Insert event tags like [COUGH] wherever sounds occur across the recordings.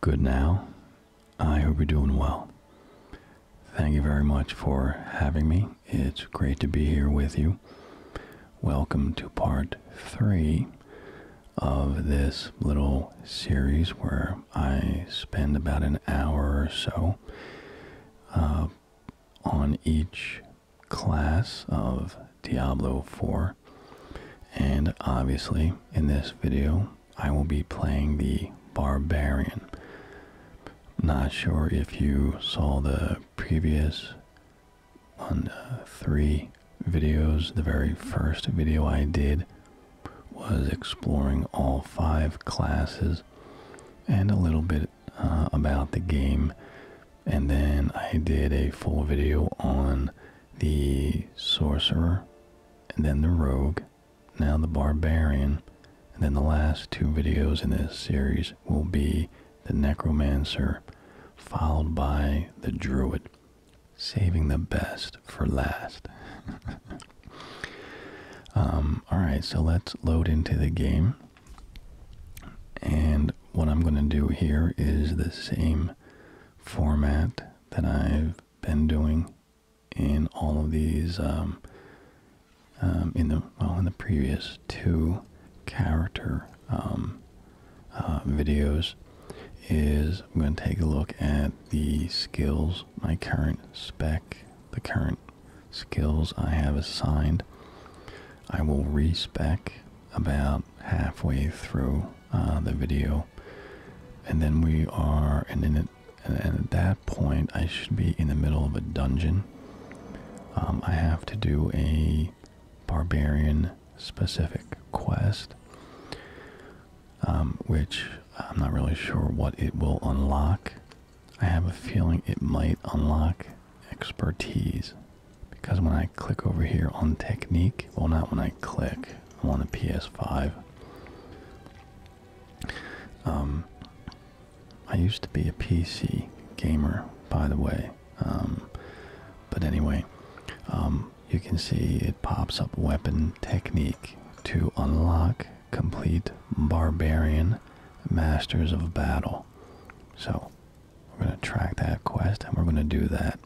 Good now. I hope you're doing well. Thank you very much for having me. It's great to be here with you. Welcome to part three of this little series where I spend about an hour or so uh, on each class of Diablo 4 and obviously, in this video, I will be playing the Barbarian. Not sure if you saw the previous on uh, three videos. The very first video I did was exploring all five classes and a little bit uh, about the game. And then I did a full video on the sorcerer, and then the rogue, now the barbarian, and then the last two videos in this series will be the necromancer, followed by the druid, saving the best for last. [LAUGHS] Um, Alright, so let's load into the game. And what I'm going to do here is the same format that I've been doing in all of these um, um, in the well in the previous two character um, uh, videos is I'm going to take a look at the skills my current spec the current skills I have assigned I will respec about halfway through uh, the video and then we are, and then it, and, at that point, I should be in the middle of a dungeon. Um, I have to do a barbarian specific quest, um, which I'm not really sure what it will unlock. I have a feeling it might unlock expertise because when I click over here on technique, well, not when I click, on a PS5. Um, I used to be a PC gamer, by the way. Um, but anyway, um, you can see it pops up weapon technique to unlock complete barbarian masters of battle. So we're going to track that quest and we're going to do that.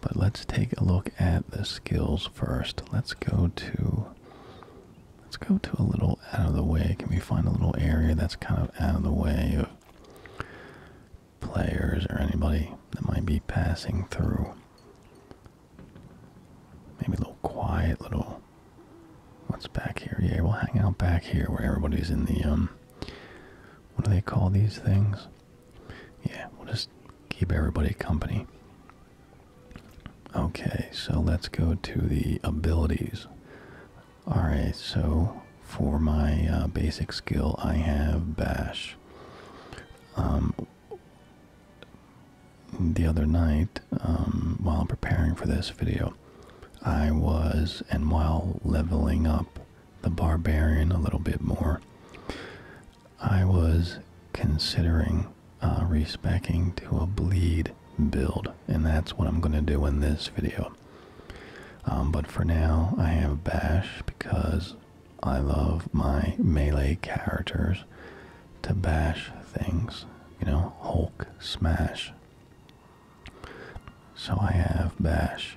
But let's take a look at the skills first. Let's go to let's go to a little out of the way. Can we find a little area that's kind of out of the way of players or anybody that might be passing through? Maybe a little quiet little what's back here? Yeah, we'll hang out back here where everybody's in the um what do they call these things? yeah, we'll just keep everybody company. Okay, so let's go to the abilities. Alright, so for my uh, basic skill, I have Bash. Um, the other night, um, while preparing for this video, I was, and while leveling up the barbarian a little bit more. I was considering uh, respecking to a bleed build, and that's what I'm going to do in this video. Um, but for now, I have Bash because I love my melee characters to bash things. You know, Hulk, Smash. So I have bash.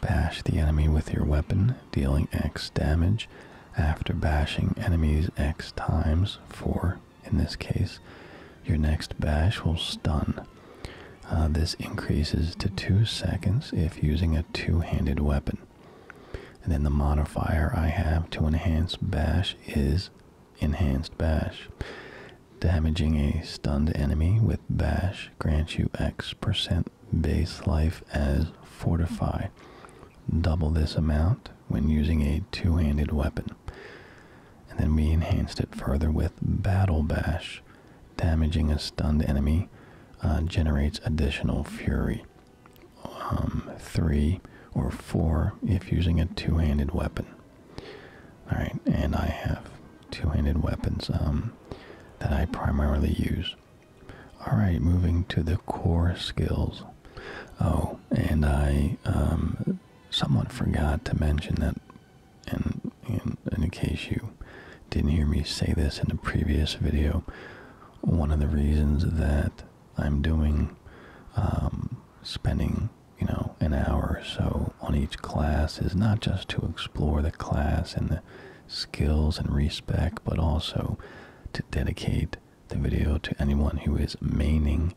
Bash the enemy with your weapon, dealing X damage after bashing enemies X times, for in this case. Your next bash will stun. Uh, this increases to 2 seconds if using a two handed weapon. And then the modifier I have to enhance bash is enhanced bash. Damaging a stunned enemy with bash dash grants you X percent base life as fortify. Double this amount when using a two-handed weapon. And then we enhanced it further with battle bash. Damaging a stunned enemy uh, generates additional fury. Um, three or four if using a two-handed weapon. All right, and I have two-handed weapons um, that I primarily use. All right, moving to the core skills. Oh, and I um, somewhat forgot to mention that, and, in case you didn't hear me say this in the previous video, one of the reasons that I'm doing um, spending you know an hour or so on each class is not just to explore the class and the skills and respect, but also to dedicate the video to anyone who is maining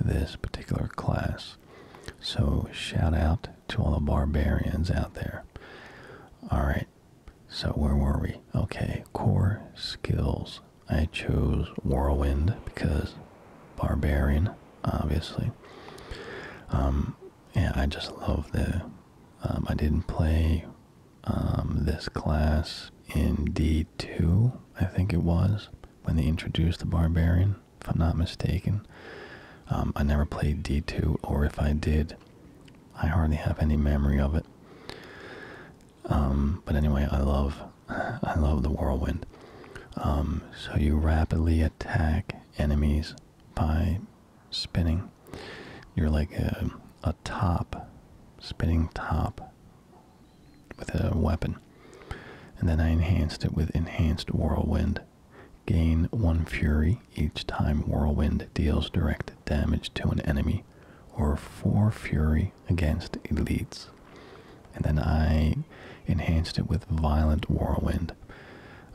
this particular class. So shout out to all the barbarians out there. Alright, so where were we? Okay, core skills. I chose Whirlwind because Barbarian, obviously. Um, yeah, I just love the um, I didn't play um, this class in D2, I think it was, when they introduced the Barbarian, if I'm not mistaken. Um, I never played D2, or if I did, I hardly have any memory of it. but anyway, I love, [LAUGHS] I love the whirlwind. so you rapidly attack enemies by spinning. You're like a, top, spinning top with a weapon. And then I enhanced it with enhanced whirlwind. Gain one fury each time whirlwind deals direct damage to an enemy, or four fury against elites. And then I enhanced it with violent whirlwind.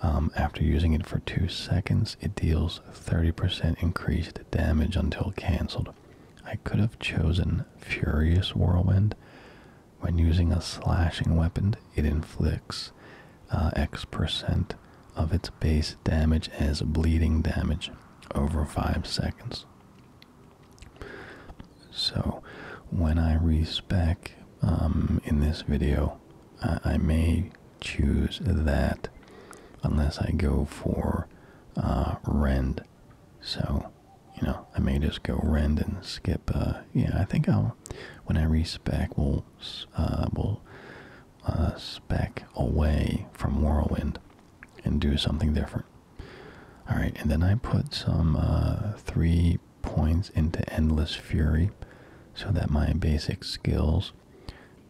Um, after using it for two seconds, it deals 30% increased damage until cancelled. I could have chosen Furious Whirlwind. When using a slashing weapon, it inflicts uh, X percent of its base damage as bleeding damage over 5 seconds. So, when I respec um, in this video, I may choose that unless I go for uh, rend. So, you know, I may just go rend and skip. Uh, yeah, I think I'll, when I respec, we'll, uh, we'll uh, spec away from Whirlwind and do something different. All right, and then I put some three points into Endless Fury so that my basic skills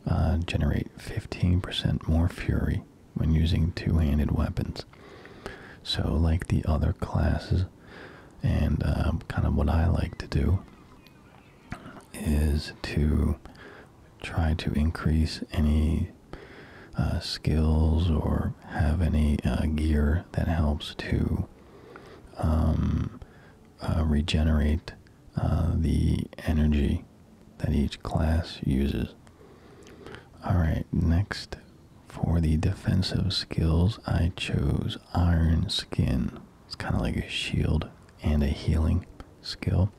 uh, generate 15% more fury when using two-handed weapons. So like the other classes and um, kind of what I like to do is to try to increase any uh, skills or have any uh, gear that helps to um, regenerate uh, the energy that each class uses. All right, next for the defensive skills, I chose Iron Skin. It's kind of like a shield and a healing skill.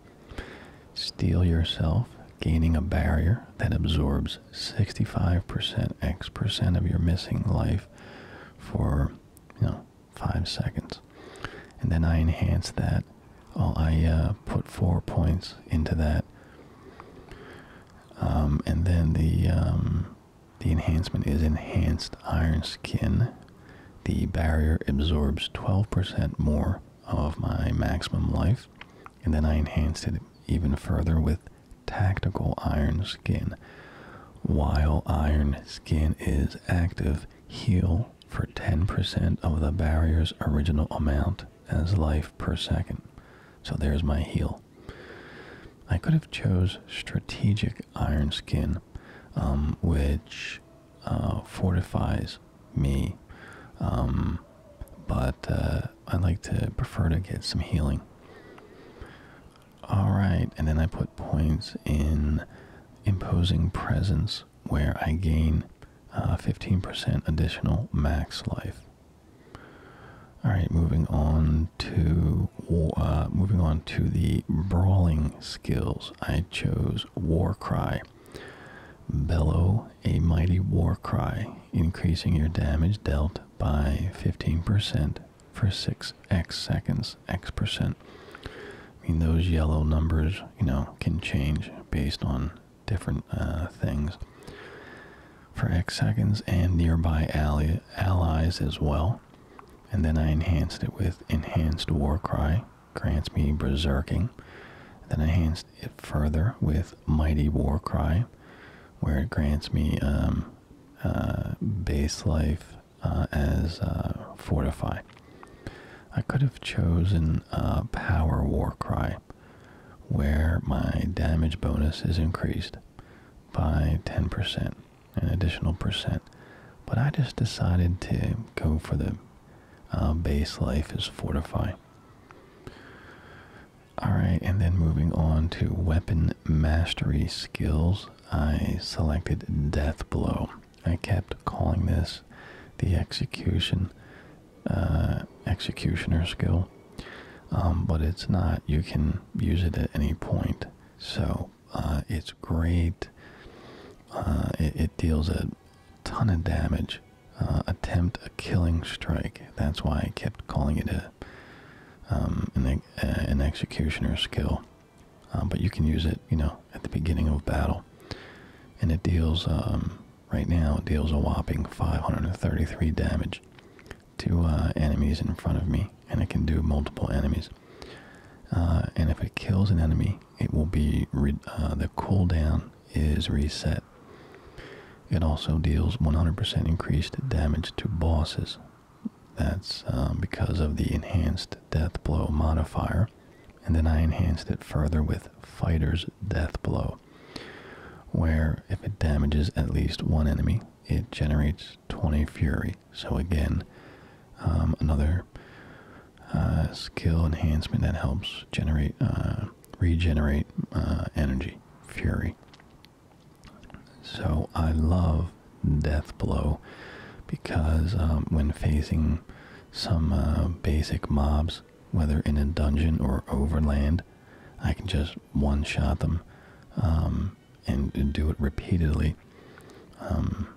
Steel yourself, gaining a barrier that absorbs 65% X of your missing life for, you know, five seconds. And then I enhance that. i I uh, put four points into that. Um, and then the um, the enhancement is enhanced iron skin. The barrier absorbs 12% more of my maximum life. And then I enhanced it even further with tactical iron skin. While iron skin is active, heal for 10% of the barrier's original amount as life per second. So there's my heal. I could have chose strategic iron skin, um, which uh, fortifies me, um, but uh, I like to prefer to get some healing. All right, and then I put points in imposing presence where I gain 15% uh, additional max life. All right, moving on to uh, moving on to the brawling skills. I chose war cry. Bellow a mighty war cry, increasing your damage dealt by 15% for 6x seconds, x percent. I mean, those yellow numbers, you know, can change based on different uh, things for x seconds and nearby allies as well. And then I enhanced it with enhanced war cry, grants me berserking. Then I enhanced it further with mighty war cry, where it grants me um, uh, base life uh, as uh, fortify. I could have chosen a power war cry, where my damage bonus is increased by 10%, an additional percent. But I just decided to go for the uh, base life is fortify. Alright, and then moving on to weapon mastery skills, I selected Death Blow. I kept calling this the execution uh, executioner skill, um, but it's not. You can use it at any point, so uh, it's great. Uh, it, deals a ton of damage. attempt a killing strike. That's why I kept calling it a um, an executioner skill. Um, but you can use it, you know, at the beginning of battle. And it deals, um, right now, it deals a whopping 533 damage to uh, enemies in front of me, and it can do multiple enemies. Uh, and if it kills an enemy, it will be uh, the cooldown is reset. It also deals 100% increased damage to bosses that's um, because of the enhanced death blow modifier. And then I enhanced it further with fighter's death blow, where if it damages at least one enemy, it generates 20 fury. So again, um, another uh, skill enhancement that helps generate, uh, regenerate uh, energy, fury. So I love death blow because um, when facing some uh, basic mobs, whether in a dungeon or overland, I can just one shot them um, and, do it repeatedly. Um,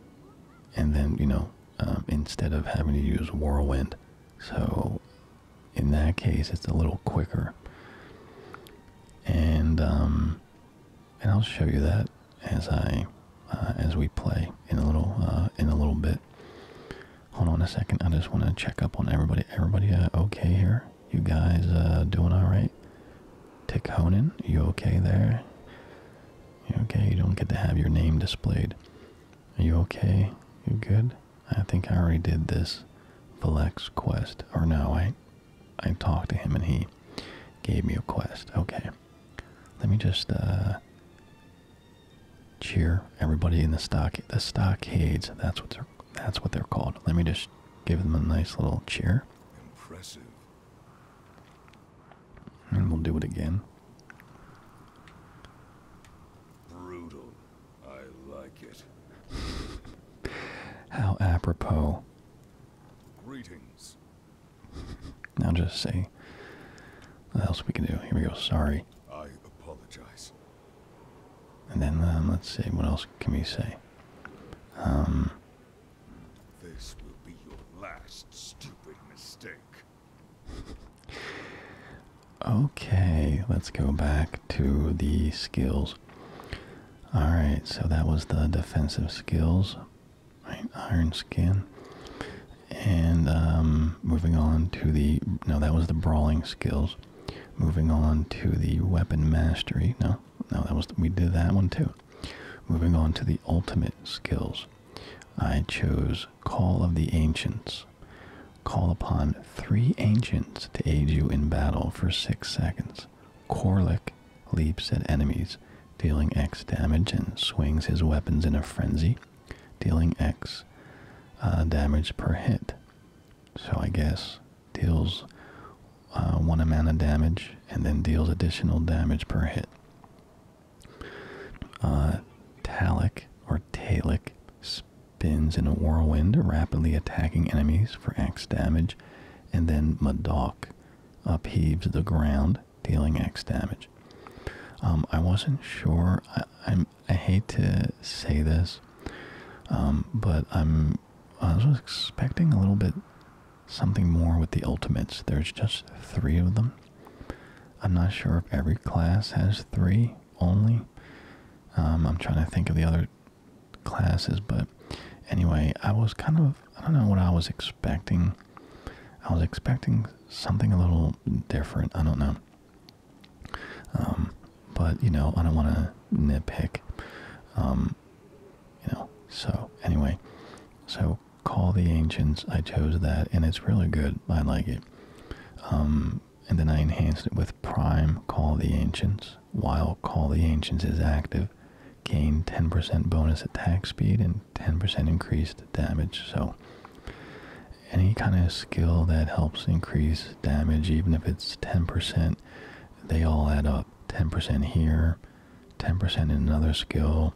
and then, you know, instead of having to use Whirlwind. So in that case, it's a little quicker. And, and I'll show you that as I uh, as we play in a little uh, in a little bit. Hold on a second. I just want to check up on everybody. Everybody uh, okay here? You guys doing all right? Tick you okay there? You okay? You don't get to have your name displayed. Are you okay? You good? I think I already did this Valex quest. Or no, I I talked to him and he gave me a quest. Okay. Let me just uh, cheer everybody in the stock the stockades. That's what they're that's what they're called. Let me just give them a nice little cheer. And we'll do it again. [LAUGHS] How apropos. Greetings now [LAUGHS] just say what else we can do. Here we go. Sorry. I apologize. And then um, let's see. What else can we say? Um, this will be your last stupid mistake. okay, let's go back to the skills. Alright, so that was the defensive skills. Iron Skin. And um, moving on to the, no, that was the Brawling Skills. Moving on to the Weapon Mastery. No, no, that was, we did that one too. Moving on to the Ultimate Skills. I chose Call of the Ancients. Call upon three ancients to aid you in battle for six seconds. Korlik leaps at enemies, dealing X damage, and swings his weapons in a frenzy, dealing X uh, damage per hit. So I guess deals uh, one amount of damage and then deals additional damage per hit. Uh, Talik or Talic spins in a whirlwind, rapidly attacking enemies for X damage, and then Madok upheaves the ground dealing X damage. Um, I wasn't sure. I, am I hate to say this, um, but I'm. I was expecting a little bit something more with the ultimates. There's just three of them. I'm not sure if every class has three only. Um, I'm trying to think of the other classes, but anyway, I was kind of. I don't know what I was expecting. I was expecting something a little different. I don't know. Um, but you know, I don't want to nitpick. Um, you know. So anyway, so call the ancients. I chose that, and it's really good. I like it. Um, and then I enhanced it with prime call the ancients. While call the ancients is active, gain 10% bonus attack speed and 10% increased damage. So any kind of skill that helps increase damage, even if it's 10%, they all add up. 10% here, 10% in another skill,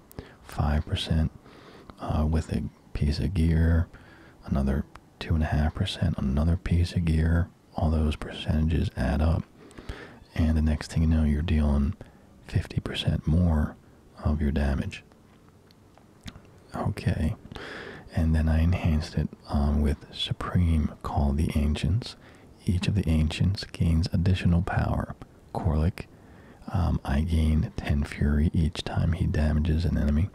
5% uh, with a piece of gear, another 2.5%, another piece of gear. All those percentages add up. And the next thing you know, you're dealing 50% more of your damage. Okay, and then I enhanced it um, with Supreme Call the Ancients. Each of the Ancients gains additional power. Korlik, um, I gain 10 Fury each time he damages an enemy.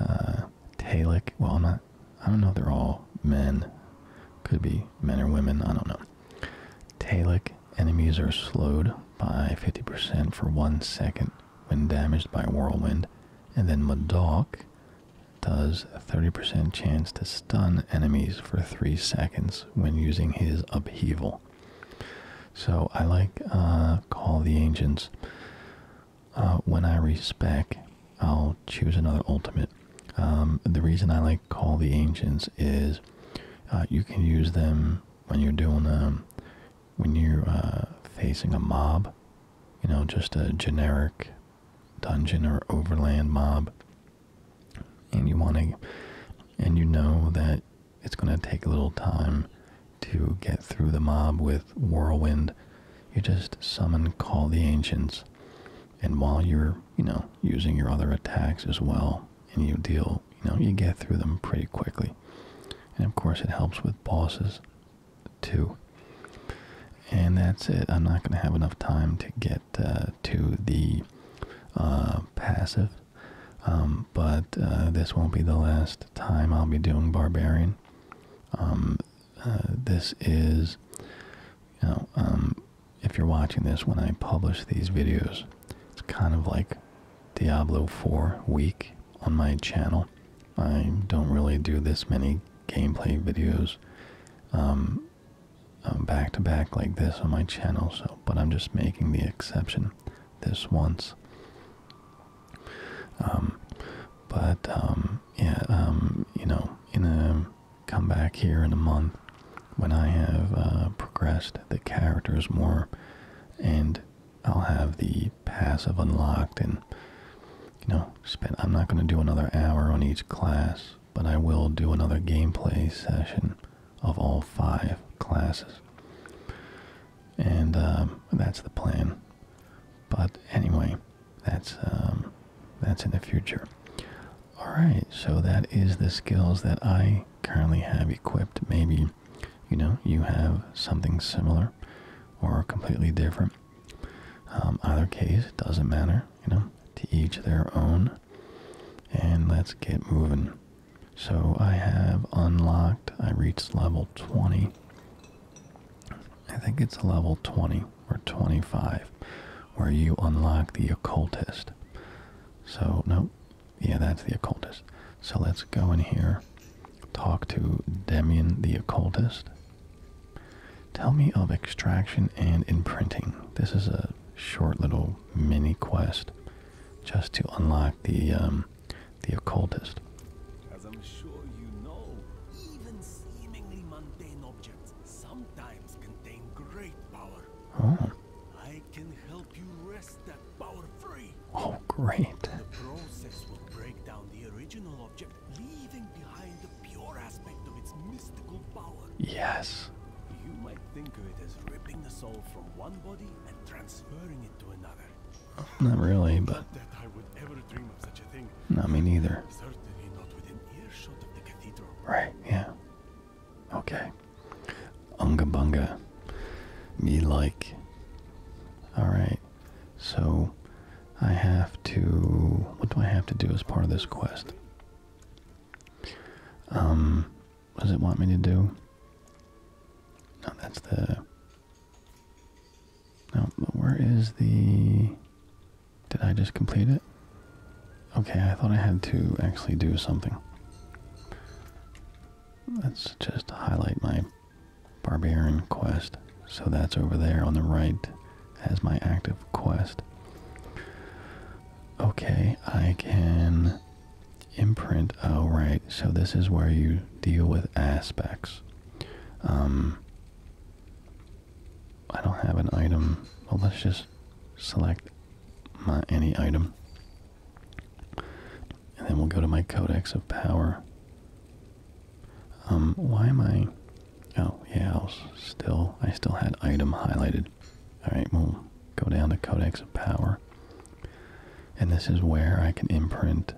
Uh, Talik, well, I'm not, I don't know they're all men. Could be men or women, I don't know. Talik enemies are slowed by 50% for one second when damaged by Whirlwind, and then Madoc does a 30% chance to stun enemies for 3 seconds when using his upheaval. So I like uh, Call the Ancients. Uh, when I respec, I'll choose another ultimate. Um, the reason I like Call the Ancients is uh, you can use them when you're doing um, when you're uh, facing a mob, you know, just a generic dungeon or overland mob, and you want to, and you know that it's going to take a little time to get through the mob with whirlwind. You just summon Call the Ancients, and while you're, you know, using your other attacks as well, and you deal, you know, you get through them pretty quickly. And of course, it helps with bosses too. And that's it. I'm not going to have enough time to get uh, to the uh, passive, um, but uh, this won't be the last time I'll be doing Barbarian. Um, this is, you know, um, if you're watching this when I publish these videos, it's kind of like Diablo 4 week on my channel. I don't really do this many gameplay videos um, um, back to back like this on my channel, so but I'm just making the exception this once. Um, but um, yeah, um, you know, in a come back here in a month when I have uh, progressed the characters more, and I'll have the passive unlocked, and you know, spend. I'm not going to do another hour on each class, but I will do another gameplay session of all five classes, and um, that's the plan. But anyway, that's um, that's in the future. All right, so that is the skills that I currently have equipped. Maybe, you know, you have something similar or completely different. Um, either case, it doesn't matter, you know, to each their own. And let's get moving. So I have unlocked, I reached level 20. I think it's level 20 or 25 where you unlock the occultist. So, no, yeah, that's the occultist. So let's go in here, talk to Demian the occultist. Tell me of extraction and imprinting. This is a short little mini quest just to unlock the um, the occultist. As I'm sure you know, even seemingly mundane objects sometimes contain great power. Oh. Oh, great. The process will break down the original object, leaving behind the pure aspect of its mystical power. Yes. You might think of it as ripping the soul from one body and transferring it to another. Not really, but. Not me neither. Right, yeah. Okay. Unga bunga. Me like. Alright. So I have to what do I have to do as part of this quest? Um what does it want me to do? No, that's the No, but where is the Did I just complete it? Okay, I thought I had to actually do something. Let's just highlight my barbarian quest. So that's over there on the right as my active quest. Okay, I can imprint. Oh, right. So this is where you deal with aspects. Um, I don't have an item. Well, let's just select my any item. And then we'll go to my Codex of Power. Um, why am I? Oh yeah, I still I still had item highlighted. All right, we'll go down to Codex of Power, and this is where I can imprint,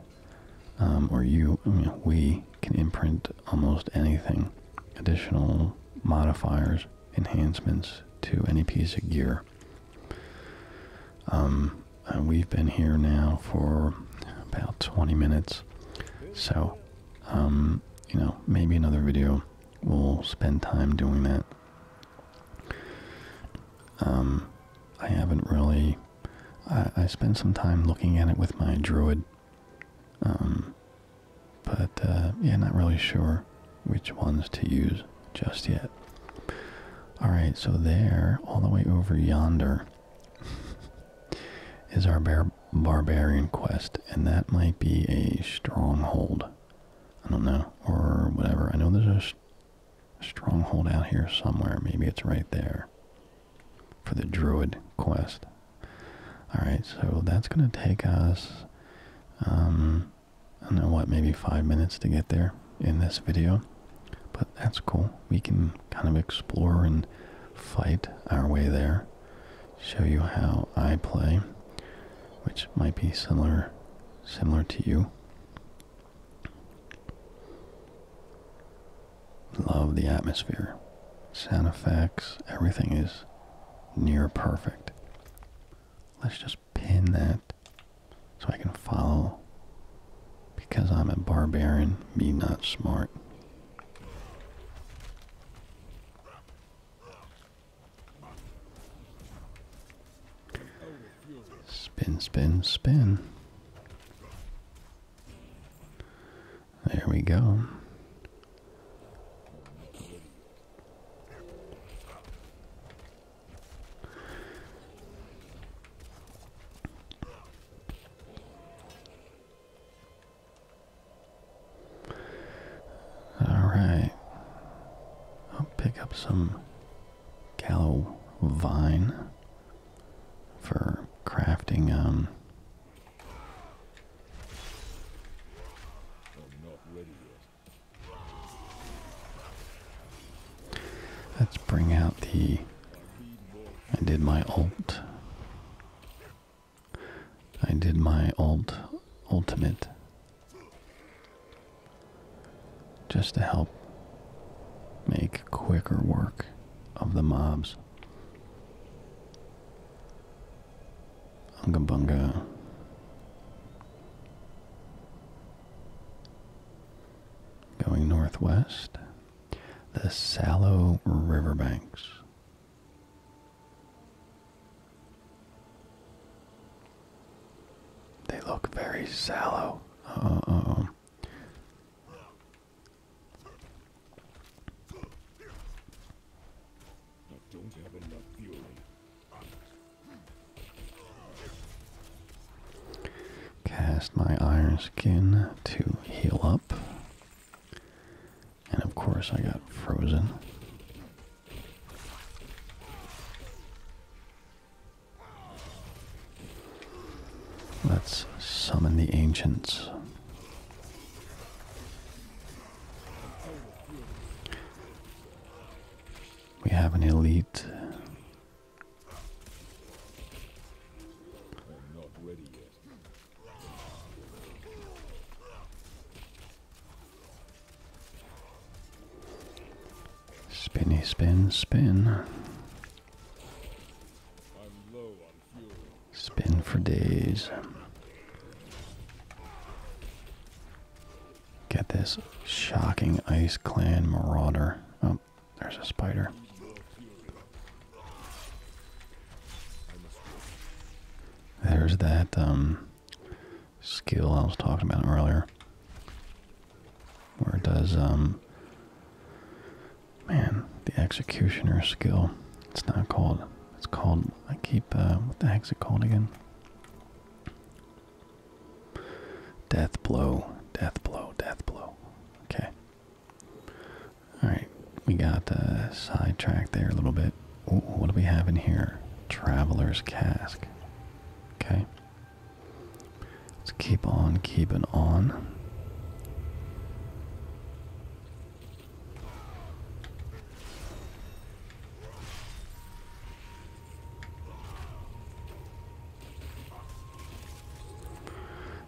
um, or you, we can imprint almost anything, additional modifiers, enhancements to any piece of gear um, we've been here now for about 20 minutes, so um, you know maybe another video we'll spend time doing that. Um, I haven't really. I, I spent some time looking at it with my druid, but uh, yeah, not really sure which ones to use just yet. Alright, so there, all the way over yonder, [LAUGHS] is our barbarian quest, and that might be a stronghold. I don't know, or whatever. I know there's a, stronghold out here somewhere. Maybe it's right there for the druid quest. Alright, so that's going to take us. Um, I don't know what, maybe five minutes to get there in this video. But that's cool. We can kind of explore and fight our way there. Show you how I play, which might be similar similar to you. Love the atmosphere. Sound effects, everything is near perfect. Let's just pin that so I can follow. Because I'm a barbarian, me not smart. Spin, spin, spin. There we go. Alright. I'll pick up some callow vine for crafting um, Let's bring out the. I did my ult. I did my ult. ultimate. Just to help make quicker work of the mobs. Unga bunga. Going northwest, the Sallow Riverbanks. They look very sallow. oh. Cast my iron skin to heal up. And of course, I got frozen. Let's summon the ancients. We have an elite I'm not ready yet. Spinny, spin, spin. Spin for days. Get this shocking Ice Clan Marauder. Oh, there's a spider. There's that um, skill I was talking about earlier. Where it does, um, man, the executioner skill. It's not called, it's called, I keep, uh, the heck's it called again? Death blow, death blow, death blow. Okay. Alright, we got uh, sidetracked there a little bit. Ooh, what do we have in here? Traveler's cask. Okay. Let's keep on keeping on.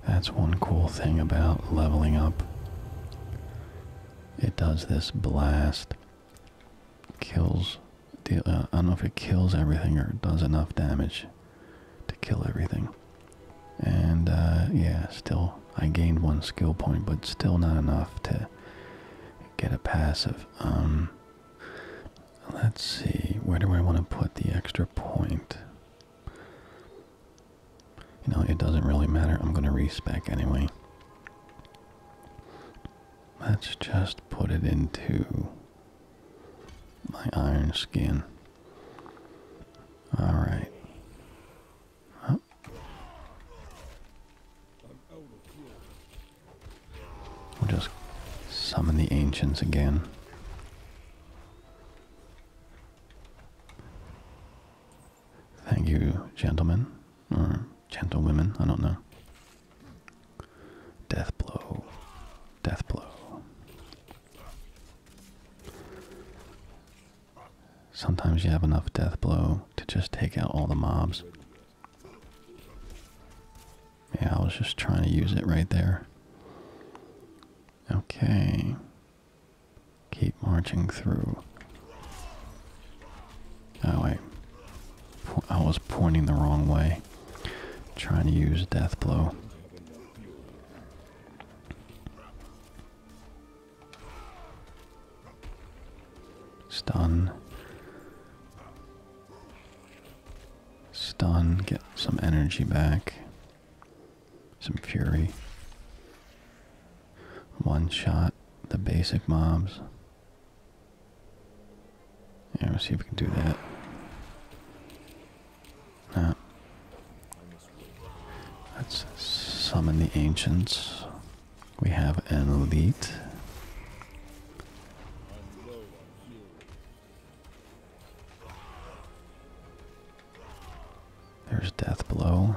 That's one cool thing about leveling up. It does this blast. Kills. Uh, I don't know if it kills everything or does enough damage to kill everything. And uh, yeah, still, I gained one skill point, but still not enough to get a passive. Um, Let's see, where do I want to put the extra point? You know, it doesn't really matter. I'm going to respec anyway. Let's just put it into my iron skin. All right. We'll just summon the ancients again. Thank you, gentlemen. Or gentlewomen, I don't know. Death blow. Death blow. Sometimes you have enough death blow to just take out all the mobs. Yeah, I was just trying to use it right there. Okay. Keep marching through. Oh, wait. I was pointing the wrong way. Trying to use death blow. Stun. Stun, get some energy back. Some fury. One shot the basic mobs. Yeah, let's see if we can do that. Nah. Let's summon the ancients. We have an elite. There's death blow,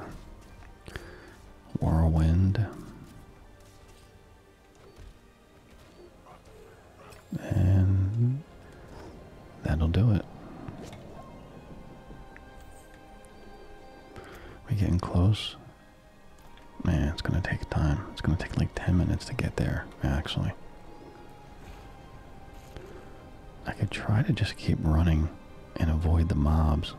Whirlwind, and that'll do it. We're getting close. Man, it's gonna take time. It's gonna take like 10 minutes to get there, actually. I could try to just keep running and avoid the mobs.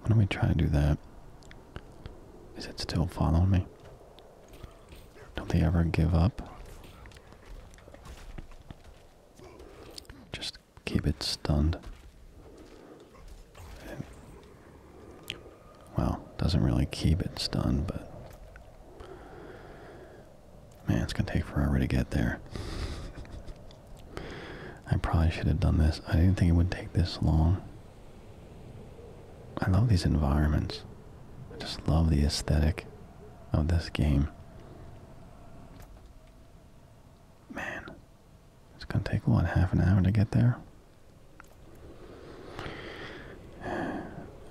Why don't we try to do that? Is it still following me? Don't they ever give up? Just keep it stunned. Well, doesn't really keep it stunned, but man, it's gonna take forever to get there. I probably should have done this. I didn't think it would take this long. I love these environments. I just love the aesthetic of this game. Man, it's going to take, what, half an hour to get there?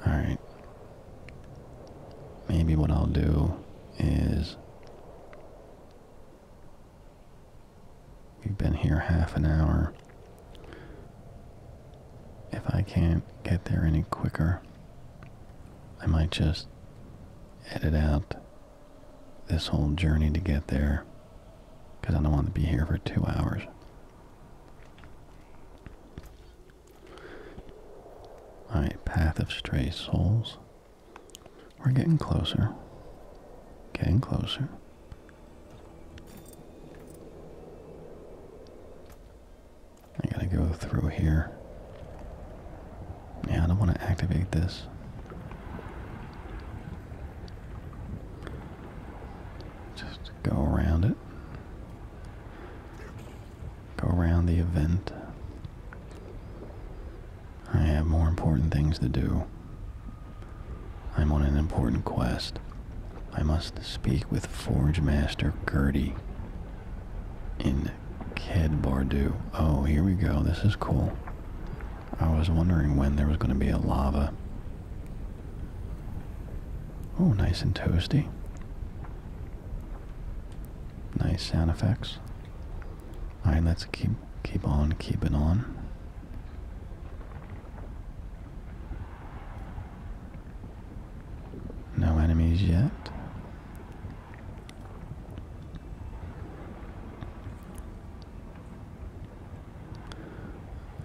Alright. Maybe what I'll do is. We've been here half an hour. If I can't get there any quicker, I might just edit out this whole journey to get there because I don't want to be here for two hours. Alright, Path of Stray Souls. We're getting closer. Getting closer. I gotta go through here. Yeah, I don't want to activate this. Just go around it. Go around the event. I have more important things to do. I'm on an important quest. I must speak with Forge Master Gertie in Ked Bardu. Oh, here we go. This is cool. I was wondering when there was going to be a lava. Oh, nice and toasty. Nice sound effects. All right, let's keep keep on keeping on. No enemies yet.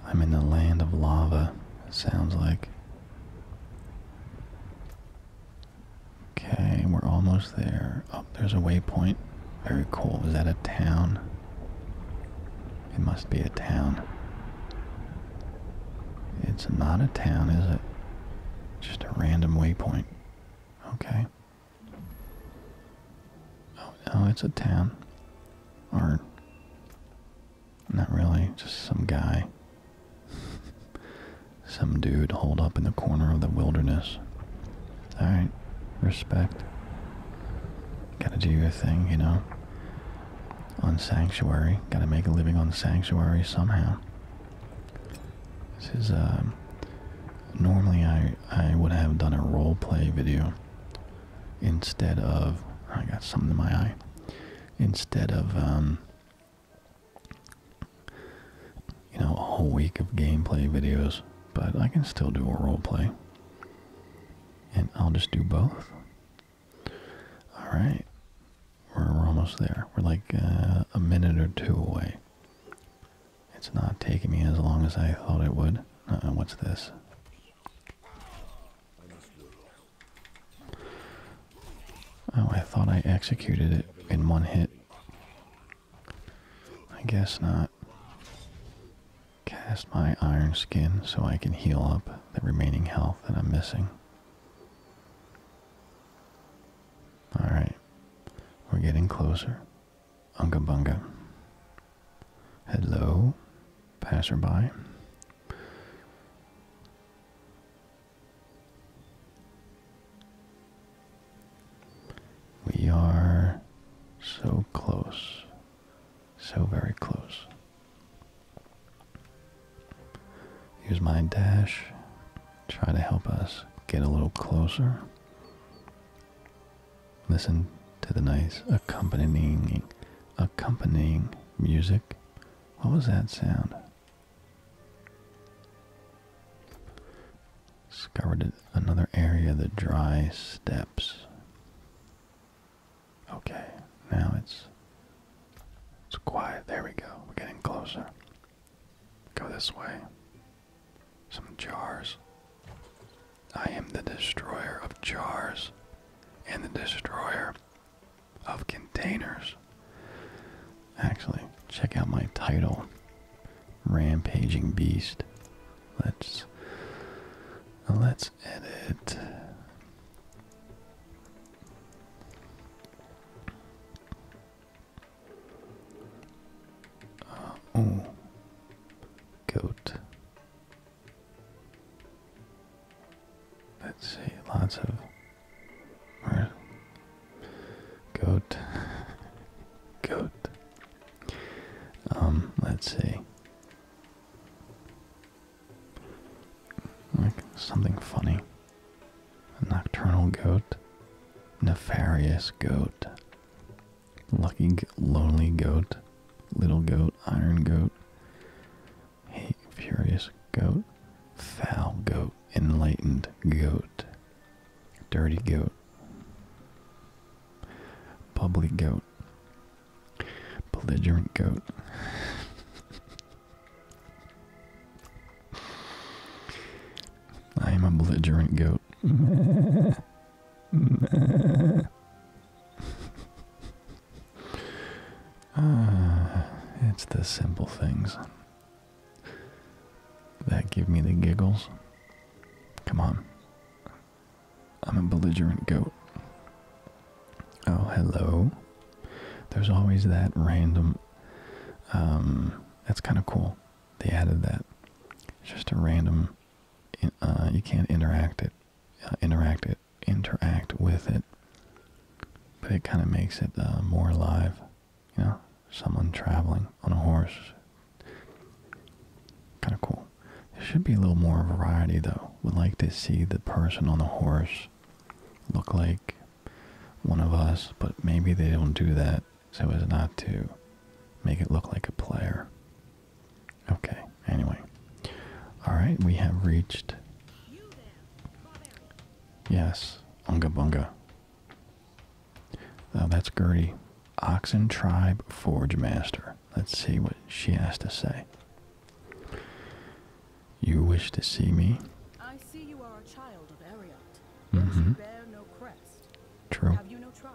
I'm in the land of lava, it sounds like. Okay, we're almost there. Oh, there's a waypoint. Very cool. Is that a town? It must be a town. It's not a town, is it? Just a random waypoint. Okay. Oh no, it's a town. Or not really, just some guy. [LAUGHS] some dude holed up in the corner of the wilderness. Alright, respect. Gotta do your thing, you know. On Sanctuary. Gotta make a living on Sanctuary somehow. This is, um, normally I, I would have done a role play video instead of I got something in my eye instead of um, you know a whole week of gameplay videos but I can still do a role play and I'll just do both all right almost there we're like uh, a minute or two away it's not taking me as long as I thought it would. Uh, what's this? Oh, I thought I executed it in one hit. I guess not. Cast my iron skin so I can heal up the remaining health that I'm missing. Alright, we're getting closer. Unga Bunga. Hello, passerby. We are so close, so very close. Here's my dash. Try to help us get a little closer. Listen to the nice accompanying accompanying music. What was that sound? Discovered another area, the dry steps. Okay, now it's it's quiet. There we go. We're getting closer. Go this way. Some jars. I am the destroyer of jars and the destroyer of containers. Actually, check out my title Rampaging Beast. Let's let's edit oh goat Let's see, lots of goat, [LAUGHS] goat. Um, let's see. Like something funny. A nocturnal goat, nefarious goat, Lucky Lonely Goat, Little Goat, Iron Goat, Hate Furious Goat, Foul Goat, Enlightened Goat, Dirty Goat, Bubbly Goat, Belligerent Goat. [LAUGHS] I am a belligerent goat. [LAUGHS] [LAUGHS] Ah, it's the simple things that give me the giggles. Come on. I'm a belligerent goat. Oh, hello. There's always that random. Um, that's kind of cool. They added that. Just a random. Uh, you can't interact it interact it, interact with it, but it kind of makes it uh, more alive. You know, someone traveling on a horse, kind of cool. There should be a little more variety though. Would like to see the person on the horse look like one of us, but maybe they don't do that so as not to make it look like a player. Okay, anyway. Alright, we have reached. Yes, Unga Bunga. Oh, that's Gertie. Oxen Tribe Forge Master. Let's see what she has to say. You wish to see me? I see you are a child of Ariat. You mm-hmm. bear no crest. True. Have you no tribe?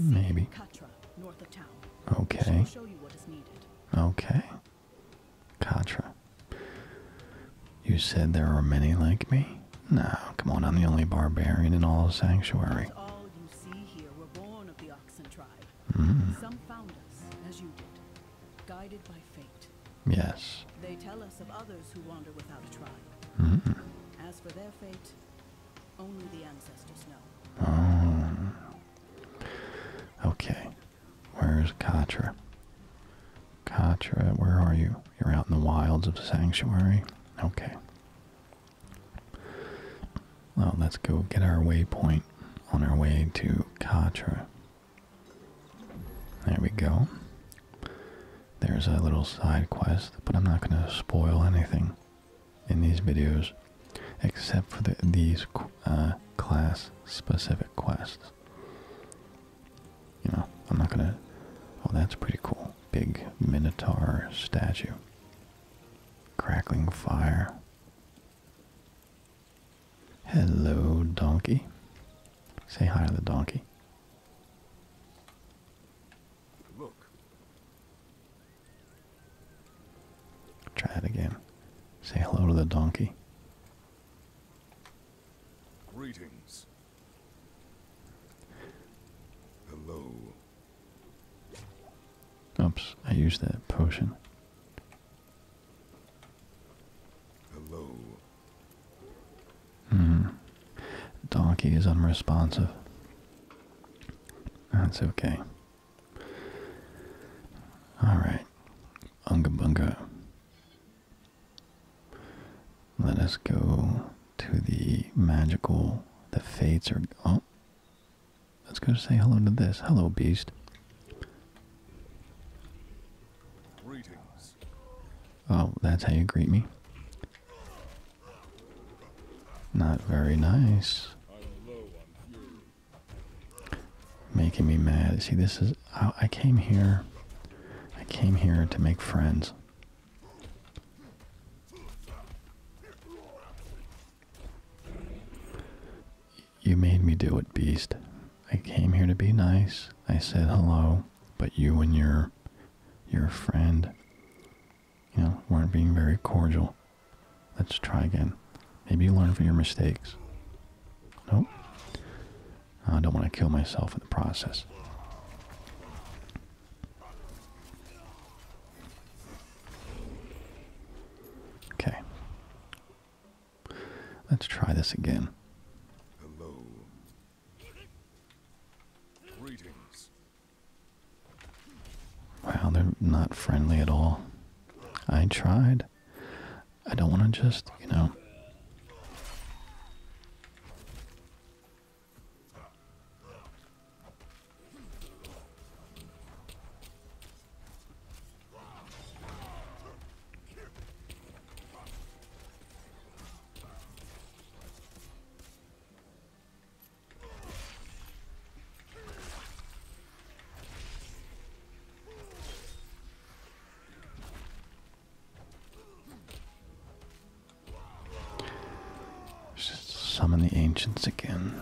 Maybe. Okay. Okay. Katra. You said there are many like me? No, come on, I'm the only barbarian in all Sanctuary. All the Oxen mm-hmm. Yes. They tell us of others who wander without a tribe. Mm-hmm. As for their fate, only the ancestors know. Oh. Okay. Where's Katra? Katra, where are you? You're out in the wilds of the sanctuary? Okay. Well, let's go get our waypoint on our way to Katra. There we go. There's a little side quest, but I'm not going to spoil anything in these videos, except for these uh, class-specific quests. You know, I'm not gonna... Oh, that's pretty cool. Big Minotaur statue. Crackling fire. Hello, donkey. Say hi to the donkey. Look. Try it again. Say hello to the donkey. Greetings. Hello. Oops, I used that potion. Hello. Hmm. Donkey is unresponsive. That's okay. Alright. Unga bunga. Let us go to the magical. The fates are. Oh. Let's go say hello to this. Hello, beast. Oh, that's how you greet me? Not very nice making me mad. See, this is, I, came here, I came here to make friends. You made me do it, beast. I came here to be nice. I said hello, but you and your your friend you know, weren't being very cordial. Let's try again. Maybe you learn from your mistakes. Nope. I don't want to kill myself in the process. Okay. Let's try this again. Wow, they're not friendly at all. I tried. I don't want to just, you know summon the ancients again.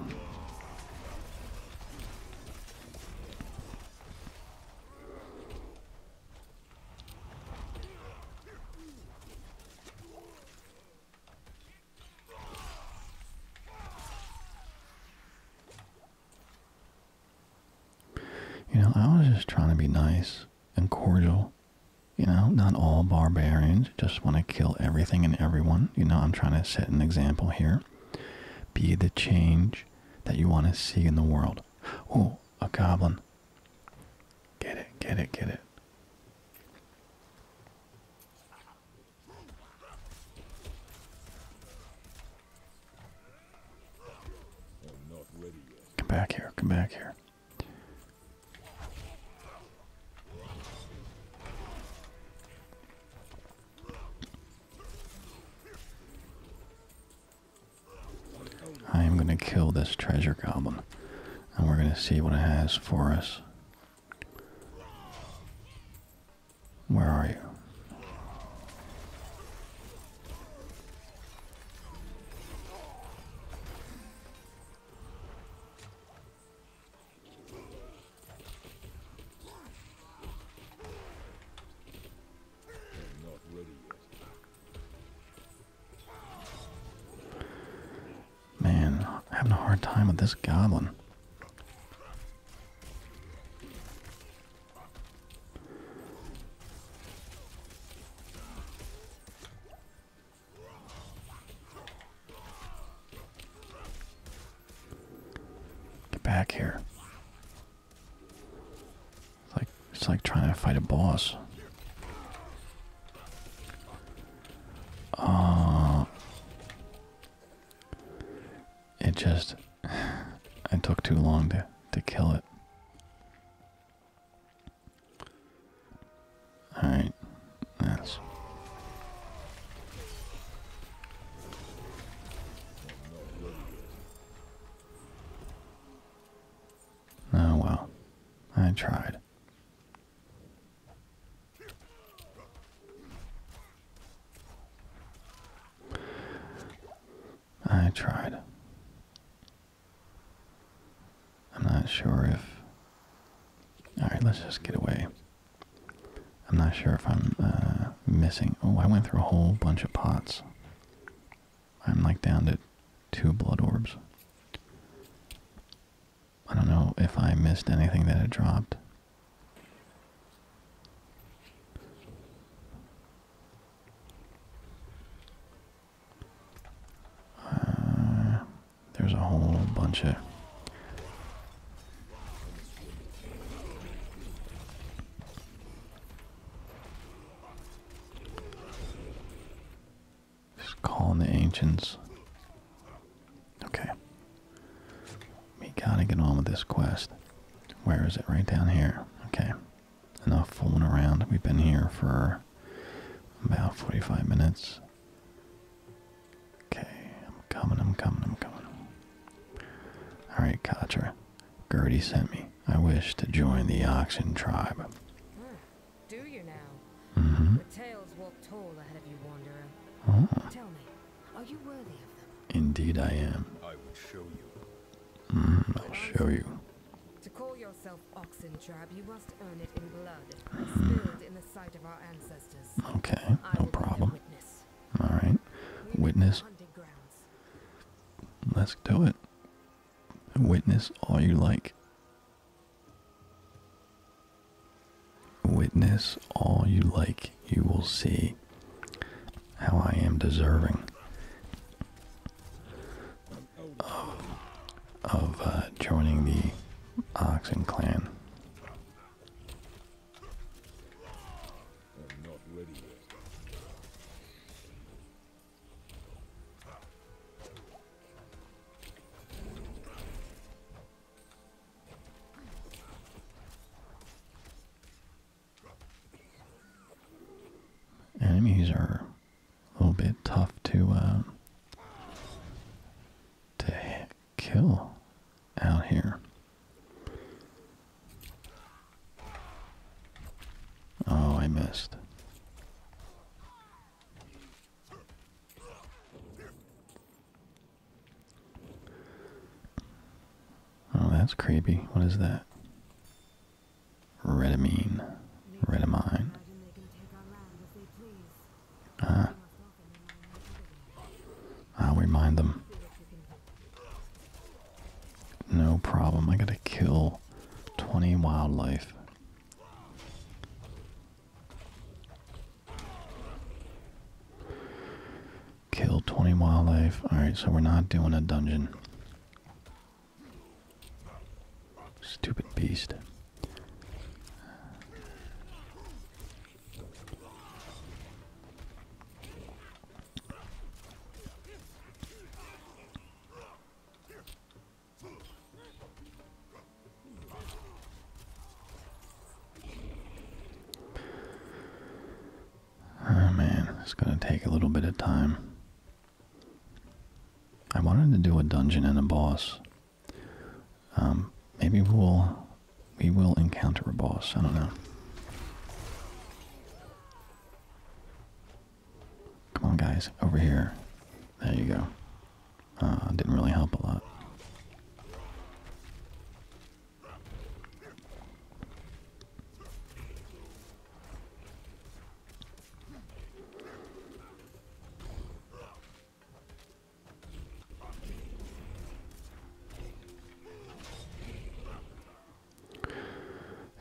You know, I was just trying to be nice and cordial. You know, not all barbarians just want to kill everything and everyone. You know, I'm trying to set an example here. Be the change that you want to see in the world. Oh, a goblin. Get it, get it, get it. Come back here, come back here. I am going to kill this treasure goblin and we're going to see what it has for us. Where are you? Man, having a hard time with this goblin. Get back here. It's like it's like trying to fight a boss. Uh, it just [SIGHS] I took too long to to kill it. All right, that's. Oh well, I tried. I tried. I'm not sure if. Alright, let's just get away. I'm not sure if I'm uh, missing. Oh, I went through a whole bunch of pots. I'm like down to two blood orbs. I don't know if I missed anything that had dropped. Uh, there's a whole bunch of just calling the ancients. Okay. We gotta get on with this quest. Where is it? Right down here. Okay. Enough fooling around. We've been here for about 45 minutes. Okay. I'm coming, I'm coming, I'm coming. Alright, Katra. Gertie sent me. I wish to join the Oxen tribe. Hmm. Do you now? Mm-hmm. walk tall ahead of you, Wanderer. Oh. Tell me, are you worthy of them? Indeed I am. I will show you. Mm-hmm, I'll show you. To call yourself oxen trab, you must earn it in blood. Mm-hmm. Okay, no problem. Alright. Witness. Let's do it. Witness all you like. Witness all you like, you will see how I am deserving of, uh, joining the Oxen clan. Enemies are a little bit tough to uh, to kill out here. Oh, I missed. Oh, that's creepy. What is that? Redamine. Redamine. Ah. I'll remind them. No problem. I gotta kill 20 wildlife. Kill 20 wildlife. Alright, so we're not doing a dungeon. Stupid beast. Oh man, it's gonna take a little bit of time. I wanted to do a dungeon and a boss. Um, maybe we'll we will encounter a boss. I don't know. Come on, guys, over here. There you go. Uh, didn't really help a lot.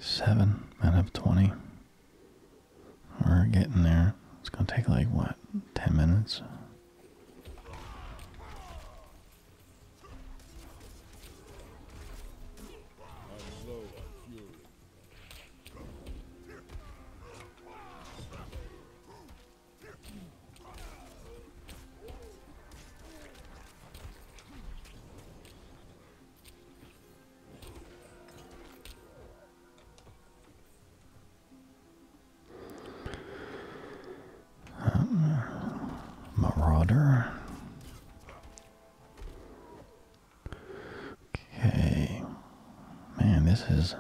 Seven out of 20. We're getting there. It's going to take like what, 10 minutes? I'm low on fury. Uh, marauder. Okay. Man, this is.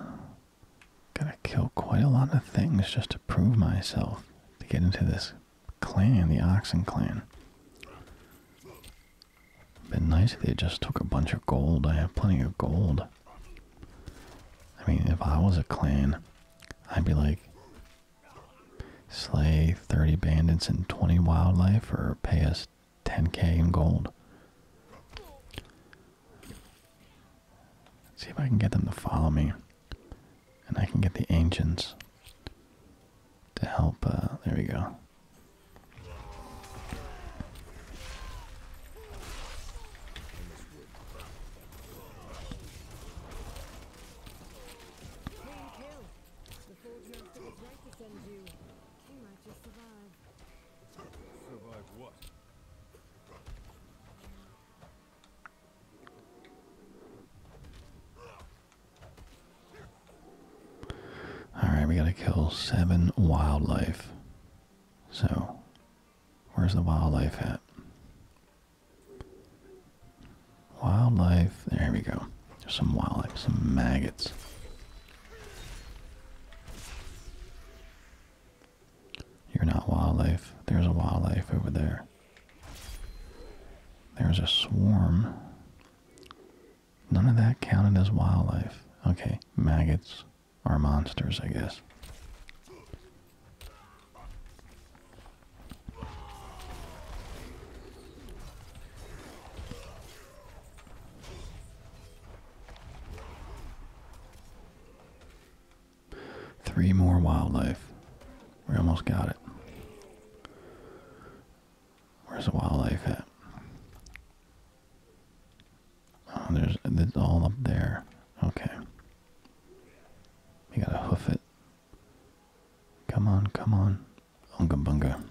going to kill quite a lot of things just to prove myself to get into this clan, the Oxen Clan. Been nice they just took a bunch of gold. I have plenty of gold. I mean, if I was a clan, I'd be like, Slay 30 bandits and 20 wildlife or pay us 10k in gold. see if I can get them to follow me. And I can get the ancients to help. Uh, there we go. All right, we got to kill seven wildlife. So, where's the wildlife at? Wildlife. There we go. There's some wildlife, some maggots. You're not wildlife. There's a wildlife over there. There's a swarm. None of that counted as wildlife. Okay, maggots are monsters, I guess. Three more wildlife. We almost got it. Where's the wildlife at? Oh, there's it's all up there. Okay. We gotta hoof it. Come on, come on. Unga bunga.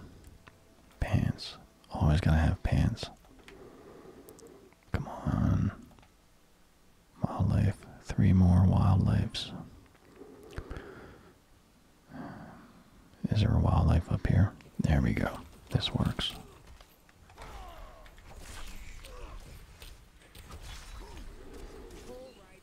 Pants. Always gotta have pants. Come on. Wildlife. Three more wildlifes. Is there a wildlife up here? There we go. This works.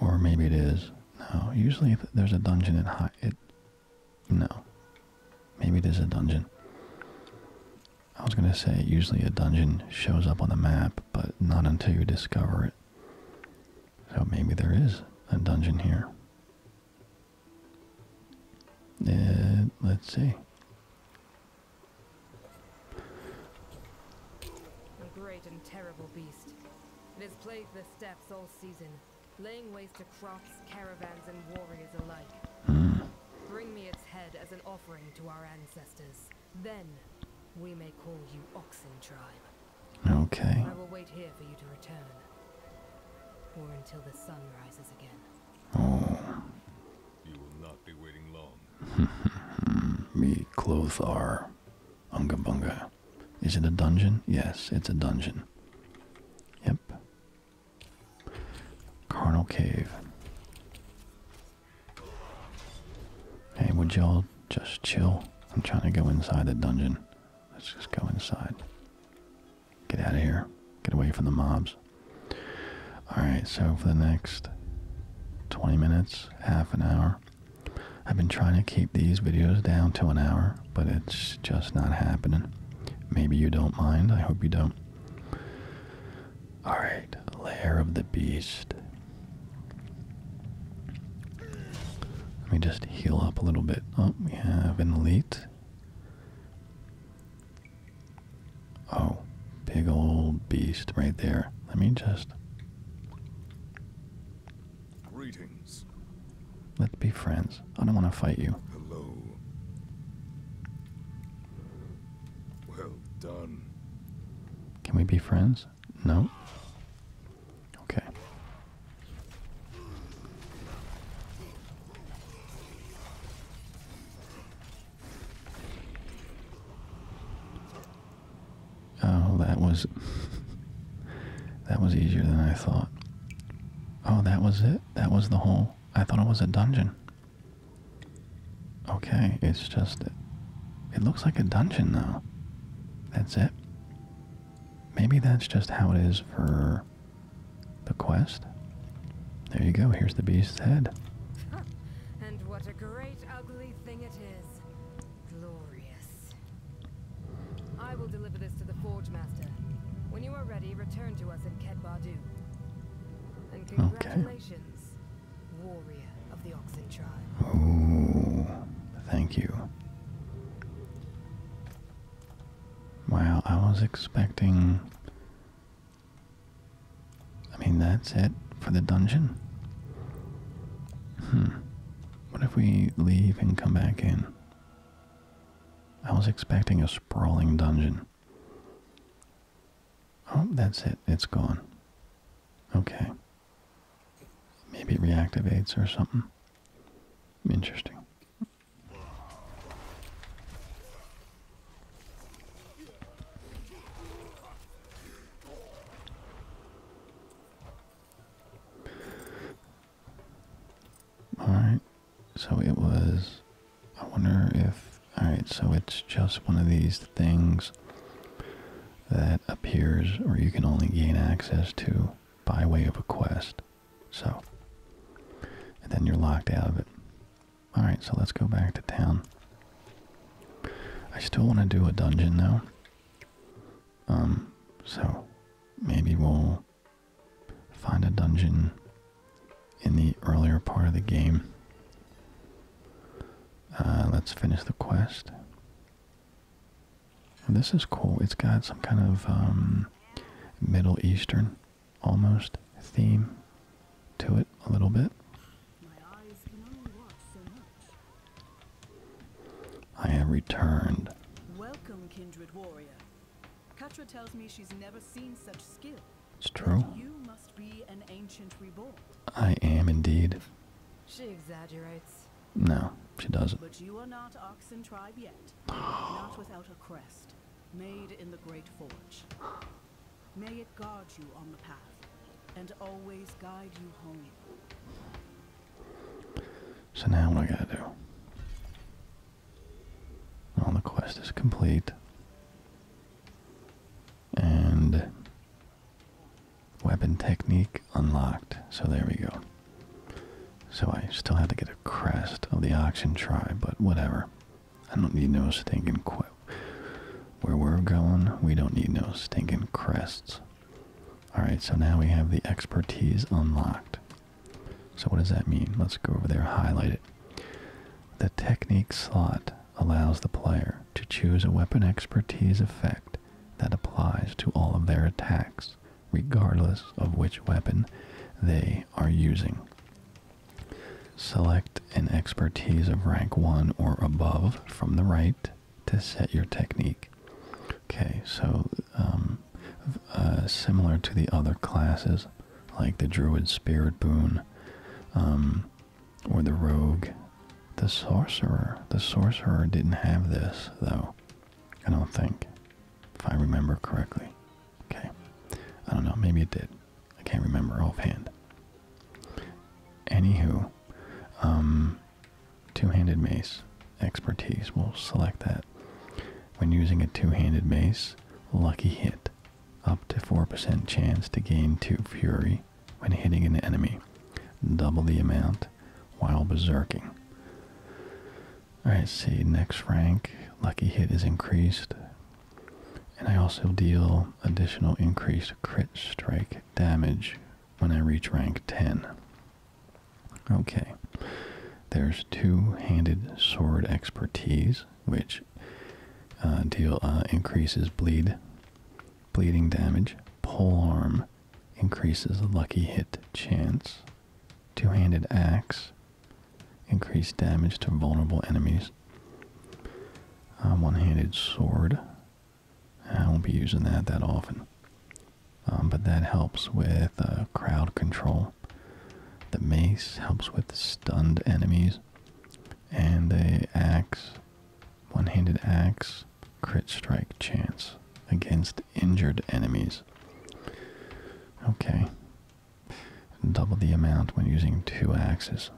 Or maybe it is. No, usually there's a dungeon in high... It, no. Maybe it is a dungeon. I was going to say usually a dungeon shows up on the map, but not until you discover it. So maybe there is a dungeon here. Uh, let's see. A great and terrible beast. It has plagued the steppes all season, laying waste to crops, caravans, and warriors alike. Bring me its head as an offering to our ancestors. Then we may call you Oxen Tribe. Okay. I will wait here for you to return. Or until the sun rises again. Oh. You will not be waiting long. Me [LAUGHS] clothes are Ungabunga. Is it a dungeon? Yes, it's a dungeon. Yep. Carnal Cave. Hey, would y'all just chill? I'm trying to go inside the dungeon. Let's just go inside. Get out of here. Get away from the mobs. Alright, so for the next 20 minutes, half an hour. I've been trying to keep these videos down to an hour, but it's just not happening. Maybe you don't mind. I hope you don't. Alright, Lair of the Beast. Let me just heal up a little bit. Oh, we have an elite. Oh, Big old beast right there. Let me just. Greetings. Let's be friends. I don't want to fight you. Hello. Well done. Can we be friends? No. Okay. Oh, that was [LAUGHS] that was easier than I thought. Oh, that was it. That was the whole. I thought it was a dungeon. Okay, it's just it looks like a dungeon though. That's it. Maybe that's just how it is for the quest. There you go. Here's the beast's head. [LAUGHS] and what a great ugly thing it is. Glorious. I will deliver this to the Forge Master. When you are ready, return to us in Ket Bardu. And congratulations, warrior of the Oxen tribe. Oh, thank you. Wow, I was expecting I mean, that's it for the dungeon. Hmm. What if we leave and come back in? I was expecting a sprawling dungeon. Oh, that's it. It's gone. Okay. Maybe it reactivates or something. Interesting. Alright, so it was. I wonder if. Alright, so it's just one of these things that appears or you can only gain access to by way of a quest. So. then you're locked out of it. Alright, so let's go back to town. I still want to do a dungeon though. Um, so maybe we'll find a dungeon in the earlier part of the game. Uh, let's finish the quest. this is cool. It's got some kind of um, Middle Eastern almost theme to it a little bit. I have returned. Welcome, kindred warrior. Katra tells me she's never seen such skill. It's true. you must be an ancient reborn. I am indeed. She exaggerates. No, she doesn't. But you are not Oxen tribe yet. not without a crest, made in the great forge. May it guard you on the path and always guide you home. So now what I gotta do? All well, the quest is complete. And weapon technique unlocked. So there we go. So I still have to get a crest of the Oxen tribe, but whatever. I don't need no stinking quip. Where we're going, we don't need no stinking crests. Alright, so now we have the expertise unlocked. So what does that mean? Let's go over there, highlight it. The technique slot allows the player to choose a weapon expertise effect that applies to all of their attacks, regardless of which weapon they are using. Select an expertise of rank 1 or above from the right to set your technique. Okay, so um, uh, similar to the other classes, like the Druid Spirit Boon, um, or the Rogue, the Sorcerer. The Sorcerer didn't have this, though, I don't think, if I remember correctly. Okay, I don't know, maybe it did. I can't remember offhand. Anywho, um, two-handed mace expertise. will select that. When using a two-handed mace, lucky hit. Up to 4% chance to gain 2 fury when hitting an enemy. Double the amount while berserking. Alright, see, next rank, lucky hit is increased. And I also deal additional increased crit strike damage when I reach rank 10. Okay, there's two-handed sword expertise, which uh, deal uh, increases bleed, bleeding damage. Polearm increases lucky hit chance. Two-handed axe increased damage to vulnerable enemies. Uh, one-handed sword I won't be using that that often. Um, but that helps with uh, crowd control. The mace helps with stunned enemies. And the axe, one-handed axe, crit strike chance against injured enemies. Okay. Double the amount when using two axes.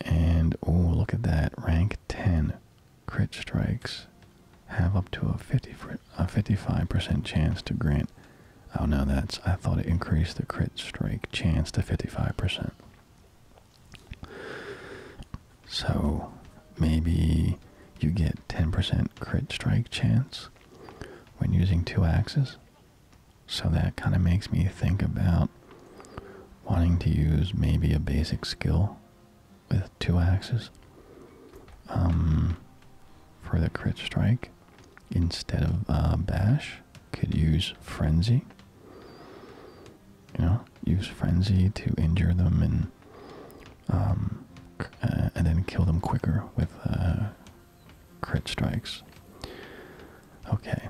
And, oh, look at that. Rank 10. Crit strikes have up to a 50 a 55% chance to grant. Oh no, that's I thought it increased the crit strike chance to 55%. So maybe you get 10% crit strike chance when using two axes. So that kind of makes me think about wanting to use maybe a basic skill with two axes um, for the crit strike instead of uh, bash could use frenzy you know use frenzy to injure them and um, uh, and then kill them quicker with uh, crit strikes okay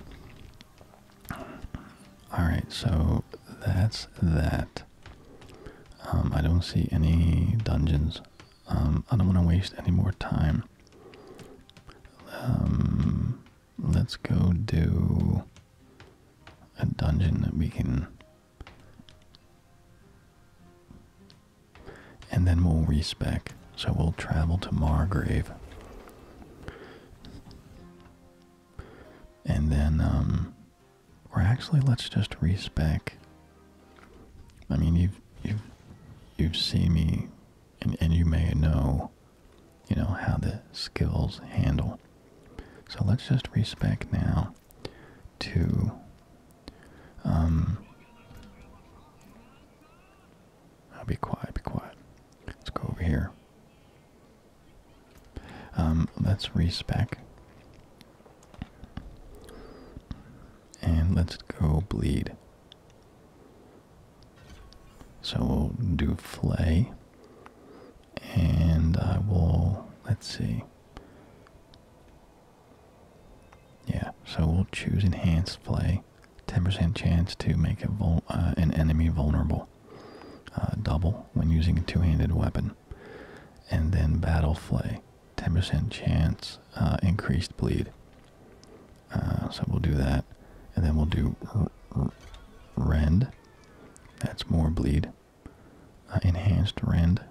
all right, so that's that. Um, I don't see any dungeons. Um, I don't want to waste any more time. Um, let's go do a dungeon that we can, and then we'll respec. So we'll travel to Margrave. And then, um, or actually, let's just respec. I mean, you've you've you've seen me, and and you may know, you know how the skills handle. So let's just respec now to, um, I'll be quiet, be quiet. Let's go over here. Um, let's respec. And let's go bleed. So we'll do flay. And I will, let's see. Yeah, so we'll choose enhanced flay. 10% chance to make uh, an enemy vulnerable. Uh, double when using a two-handed weapon. And then battle flay, 10% chance, uh, increased bleed. Uh, so we'll do that. And then we'll do rend. That's more bleed. enhanced rend.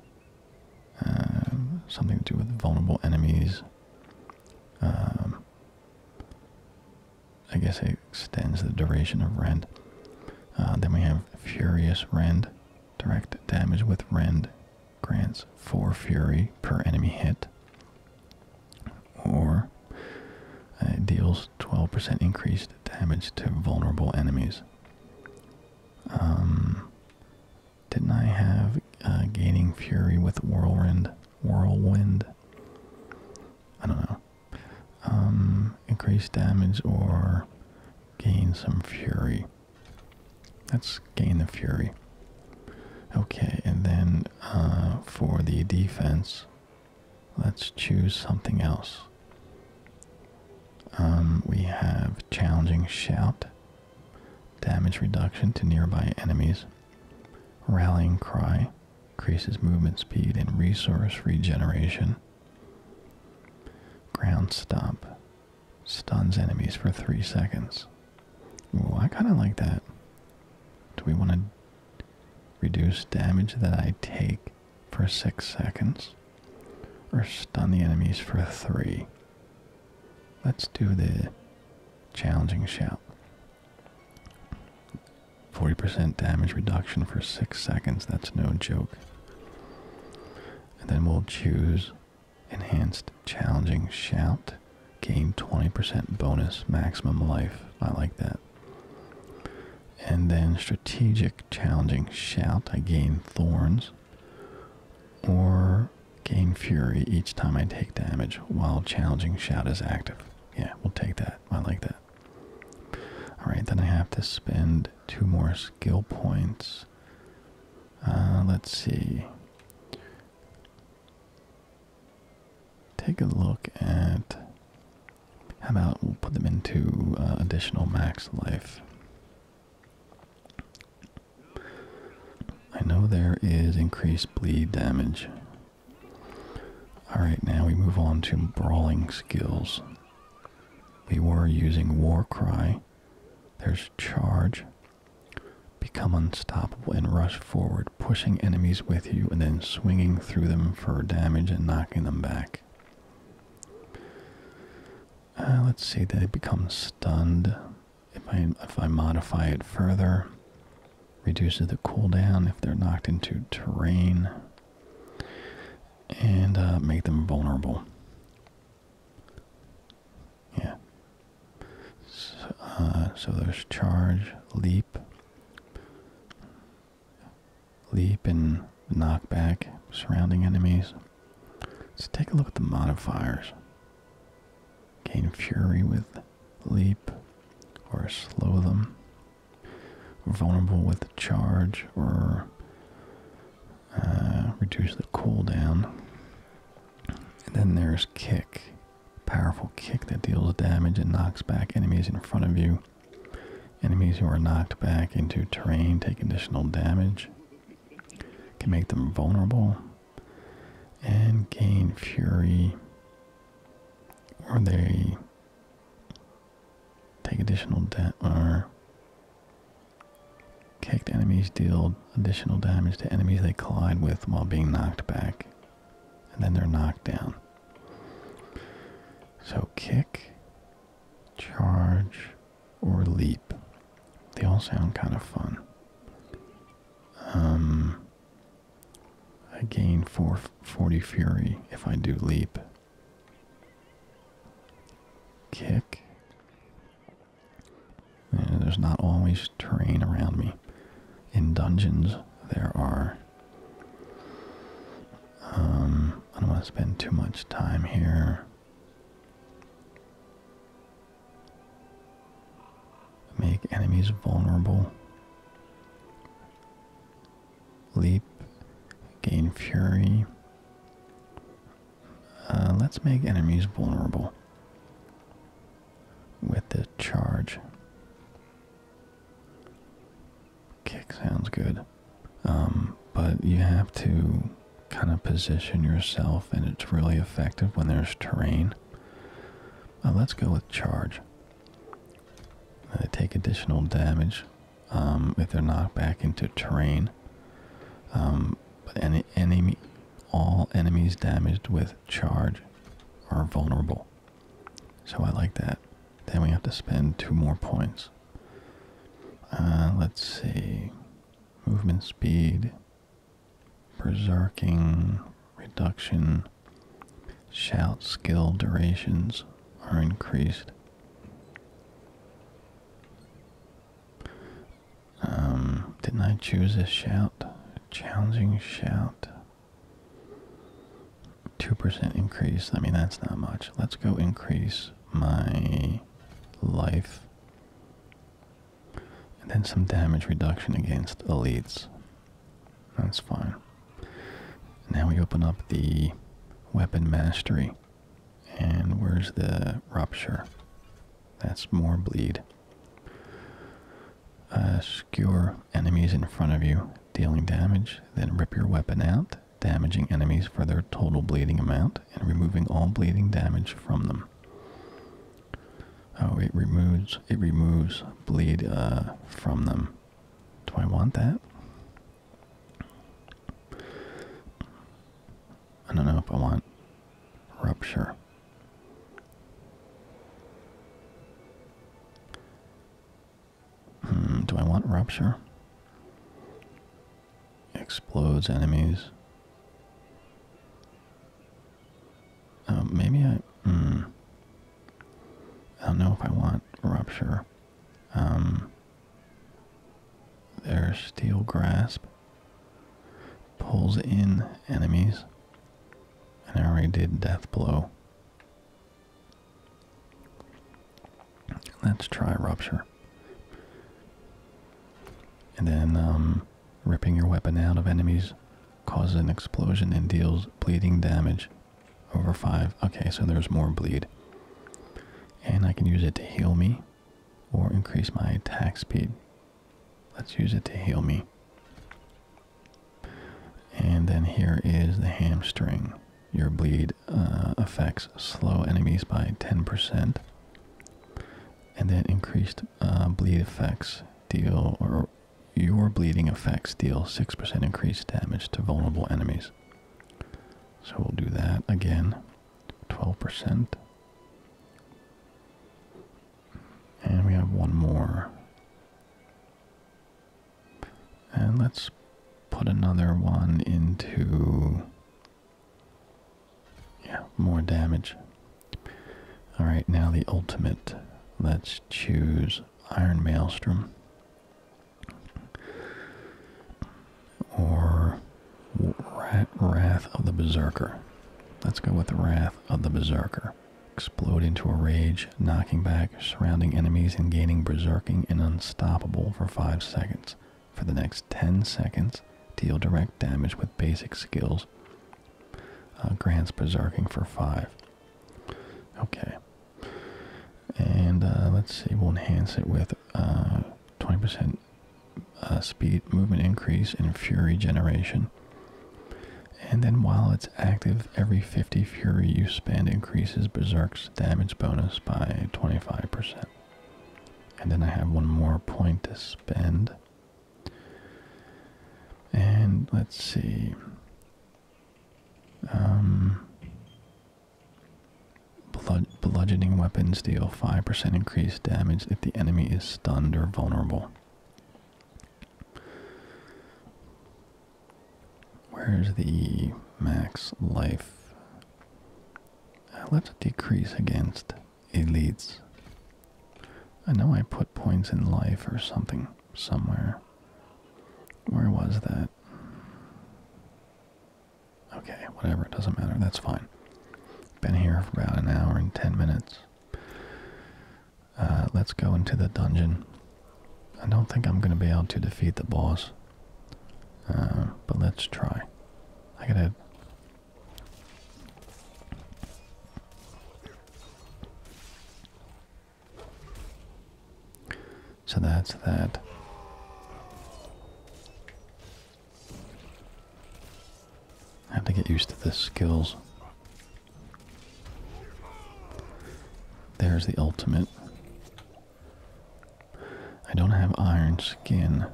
Um, something to do with vulnerable enemies. Um, I guess it extends the duration of rend. Uh, then we have Furious Rend, direct damage with rend grants 4 fury per enemy hit, or uh, deals 12% increased damage to vulnerable enemies. Um, didn't I have uh, Gaining Fury with Whirlwind? Whirlwind? I don't know. Um, increase damage or gain some fury. Let's gain the fury. Okay, and then uh, for the defense, let's choose something else. Um, we have challenging shout, damage reduction to nearby enemies, rallying cry, increases movement speed and resource regeneration. Ground stomp. Stuns enemies for three seconds. Ooh, I kind of like that. Do we want to reduce damage that I take for six seconds? Or stun the enemies for three? Let's do the challenging shout. 40% damage reduction for 6 seconds, that's no joke. And then we'll choose Enhanced Challenging Shout. Gain 20% bonus maximum life. I like that. And then Strategic Challenging Shout. I gain Thorns. Or gain Fury each time I take damage while Challenging Shout is active. Yeah, we'll take that. I like that. Alright, then I have to spend two more skill points. Uh, let's see. Take a look at. How about we'll put them into uh, additional max life? I know there is increased bleed damage. Alright, now we move on to brawling skills. We were using War Cry. There's charge. Become unstoppable and rush forward, pushing enemies with you and then swinging through them for damage and knocking them back. Uh, let's see, they become stunned. If I, if I modify it further, reduces the cooldown if they're knocked into terrain and uh, make them vulnerable. Yeah. Uh, so, there's charge, leap, leap, and knockback, surrounding enemies. let take a look at the modifiers. Gain fury with leap or slow them vulnerable with the charge or uh, reduce the cooldown. And then there's kick, powerful kick that deals damage and knocks back enemies in front of you. Enemies who are knocked back into terrain take additional damage, can make them vulnerable, and gain fury, or they Take additional damage or kick enemies deal additional damage to enemies they collide with while being knocked back. And then they're knocked down. So kick, charge, or leap. They all sound kind of fun. Um I gain 440 fury if I do leap Kick. there's not always terrain around me. In dungeons, there are. Um, I don't want to spend too much time here. Make enemies vulnerable leap, gain fury. Uh, let's make enemies vulnerable with the charge. Kick sounds good, um, but you have to kind of position yourself, and it's really effective when there's terrain. Uh, let's go with charge. Uh, take additional damage um, if they're knocked back into terrain. Um, but any enemy, all enemies damaged with charge are vulnerable. So I like that. Then we have to spend two more points. Uh, let's see. Movement speed, berserking, reduction, shout skill durations are increased. Um, didn't I choose a shout? Challenging shout. 2% increase. I mean, that's not much. Let's go increase my life. And then some damage reduction against elites. That's fine. Now we open up the weapon mastery. And where's the rupture? That's more bleed. Uh, skewer enemies in front of you, dealing damage, then rip your weapon out, damaging enemies for their total bleeding amount, and removing all bleeding damage from them. Oh, it removes it removes bleed uh, from them. Do I want that? I don't know if I want rupture. Hmm, do I want rupture? Explodes enemies. Oh, maybe I. Hmm. I don't know if I want rupture. Um, their steel grasp pulls in enemies, and I already did death blow. Let's try rupture. And then um, ripping your weapon out of enemies causes an explosion and deals bleeding damage over five. Okay, so there's more bleed and I can use it to heal me or increase my attack speed. Let's use it to heal me. And then here is the hamstring. Your bleed uh, affects slow enemies by 10%. And then increased uh, bleed effects deal, or your bleeding effects deal 6% increased damage to vulnerable enemies. So we'll do that again. 12%. And we have one more. And let's put another one into. Yeah, more damage. Alright, now the ultimate. Let's choose Iron Maelstrom or Wrath of the Berserker. Let's go with the Wrath of the Berserker. Explode into a rage, knocking back surrounding enemies and gaining berserking and unstoppable for 5 seconds. For the next 10 seconds, deal direct damage with basic skills. Uh, grants berserking for 5. Okay. And uh, let's see, we'll enhance it with uh, 20% uh, speed movement increase and fury generation. And then while it's active, every 50 fury you spend increases Berserk's damage bonus by 25%. And then I have one more point to spend. And let's see. Um, bludgeoning weapons deal 5% increased damage if the enemy is stunned or vulnerable. Where's the max life? I left us decrease against elites. I know I put points in life or something somewhere. Where was that? Okay, whatever, it doesn't matter, that's fine. Been here for about an hour and ten minutes. Uh, let's go into the dungeon. I don't think I'm going to be able to defeat the boss. Uh, but let's try. I gotta... So that's that. I have to get used to the skills. There's the ultimate. I don't have iron skin,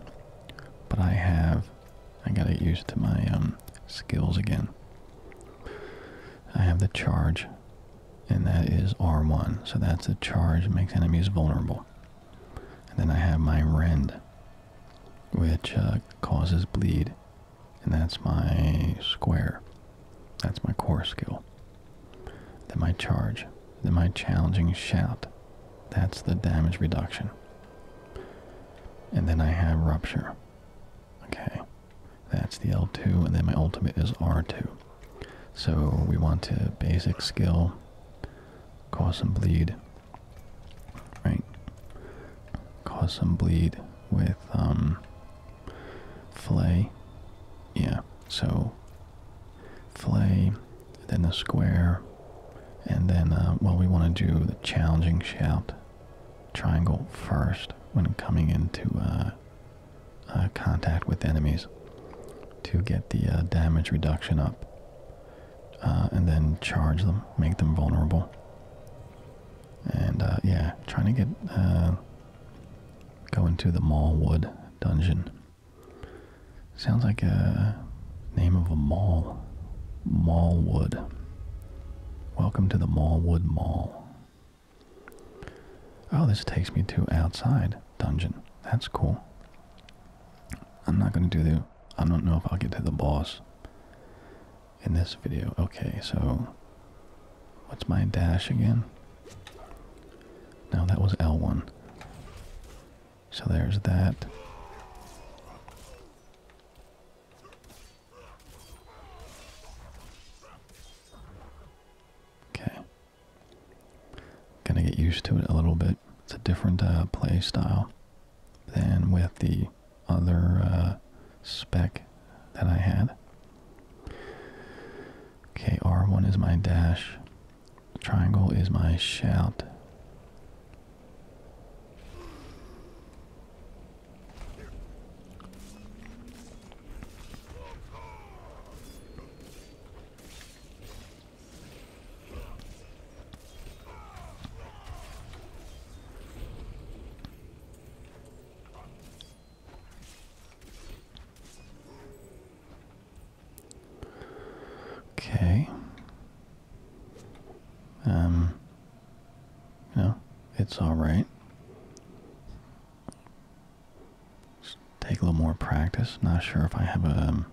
but I have. I gotta get used to my um, skills again. I have the charge, and that is R1. So that's the charge makes enemies vulnerable. And then I have my rend, which uh, causes bleed. And that's my square. That's my core skill. Then my charge. Then my challenging shout. That's the damage reduction. And then I have rupture. Okay. That's the L2. And then my ultimate is R2. So we want a basic skill, cause some bleed, right? Cause some bleed with um, fillet, yeah. So fillet, then the square, and then uh, well, we want to do the challenging shout triangle first when coming into uh, uh, contact with enemies to get the uh, damage reduction up uh, and then charge them, make them vulnerable. And uh, yeah, trying to get go into the Mallwood dungeon. Sounds like a name of a mall. Mallwood. Welcome to the Mallwood Mall. Oh, this takes me to outside dungeon. That's cool. I'm not going to do the... I don't know if I'll get to the boss in this video. Okay, so... What's my dash again? No, that was L1. So there's that. Okay. Gonna get used to it a little bit. It's a different uh, play style than with the other uh, spec that I had. Okay, R1 is my dash. Triangle is my shout. Okay. Um no, it's all right take a little more practice. Not sure if I have a. Um,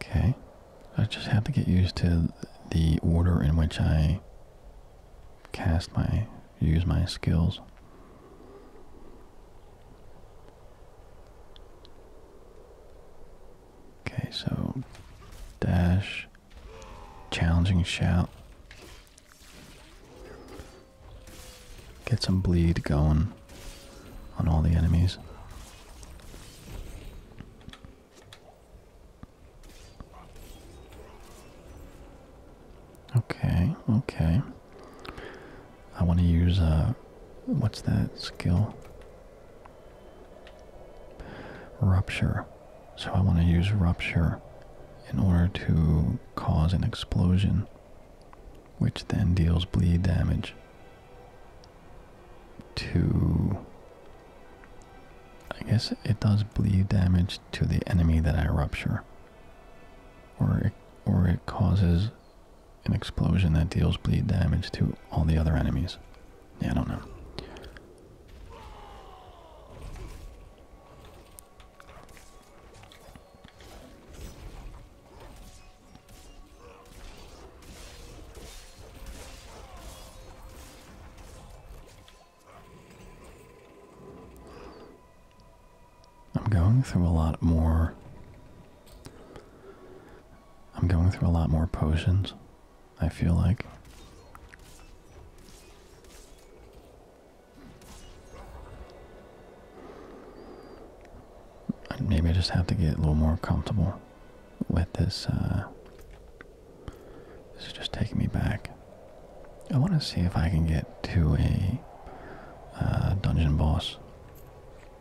okay, I just have to get used to the order in which I cast my use my skills. Okay, so dash, challenging shout, get some bleed going on all the enemies. Okay, okay. I want to use uh what's that skill? Rupture. So I want to use rupture in order to cause an explosion which then deals bleed damage to I guess it does bleed damage to the enemy that I rupture or or it causes an explosion that deals bleed damage to all the other enemies. Yeah, I don't know. I'm going through a lot more. I'm going through a lot more potions, I feel like. Maybe I just have to get a little more comfortable with this. Uh, this is just taking me back. I want to see if I can get to a uh, dungeon boss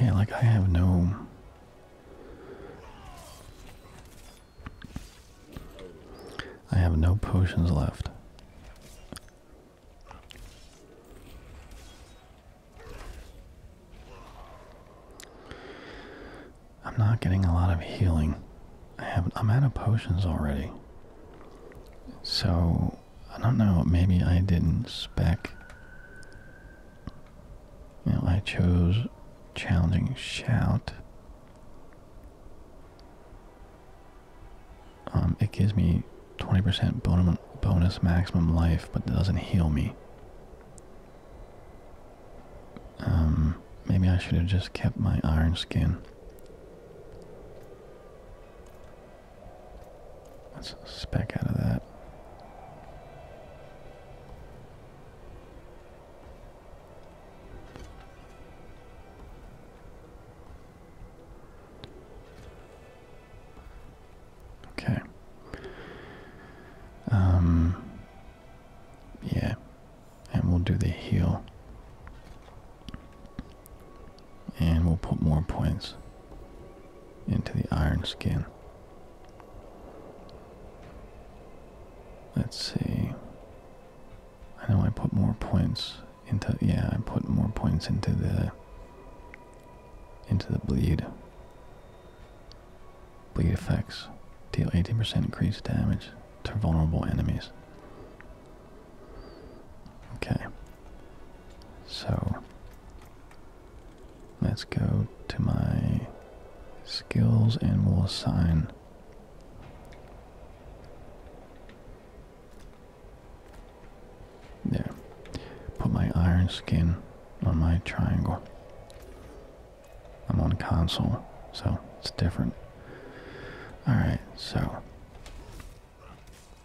Yeah, like I have no I have no potions left. I'm not getting a lot of healing. I have I'm out of potions already. So I don't know, maybe I didn't spec. You know, I chose challenging shout. Um, it gives me 20% bon bonus maximum life, but it doesn't heal me. Um, maybe I should have just kept my iron skin. Let's spec out of that. Okay. Um yeah. And we'll do the heel. And we'll put more points into the iron skin. Let's see. I know I put more points into yeah, I put more points into the into the bleed. Bleed effects. Deal 18 percent increased damage to vulnerable enemies. Okay. So Let's go to my skills and we'll assign. There. Put my iron skin on my triangle. I'm on console, so it's different. Alright, so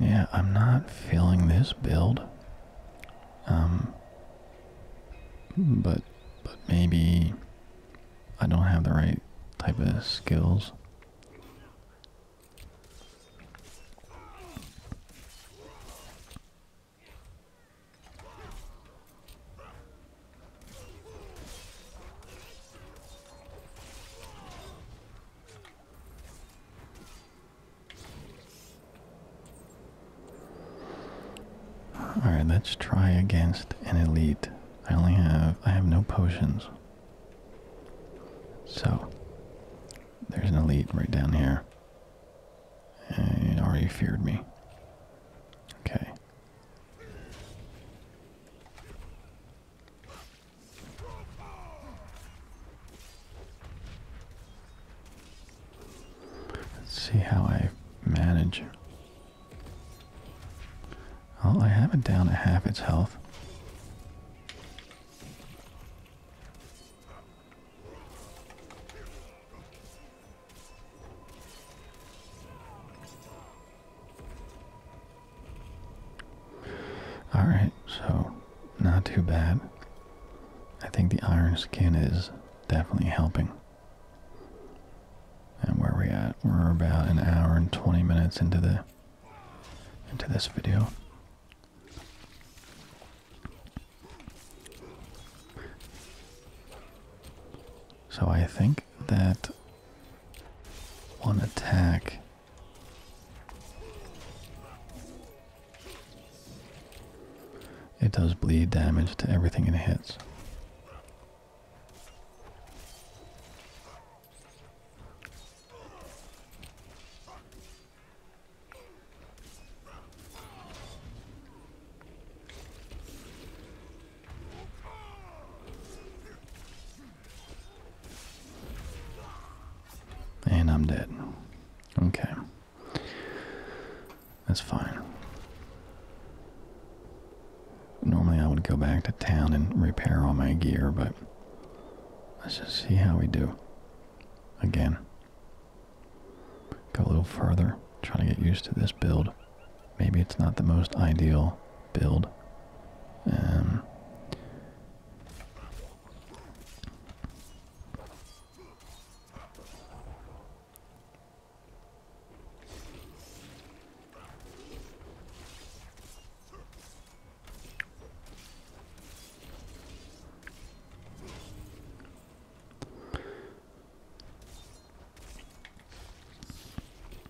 Yeah, I'm not feeling this build. Um but but maybe I don't have the right type of skills. Alright, let's try against an elite. I only have I have no potions. So there's an elite right down here. And already feared me. Okay. Let's see how I manage. Well, I have it down at half its health. Alright, so not too bad. I think the iron skin is definitely helping. And where we at? We're about an hour and 20 minutes into the into this video. So I think that one attack it does bleed damage to everything it hits. And I'm dead. Okay. That's fine. Normally I would go back to town and repair all my gear, but let's just see how we do. Again. Go a little further. trying to get used to this build. Maybe it's not the most ideal build. Um,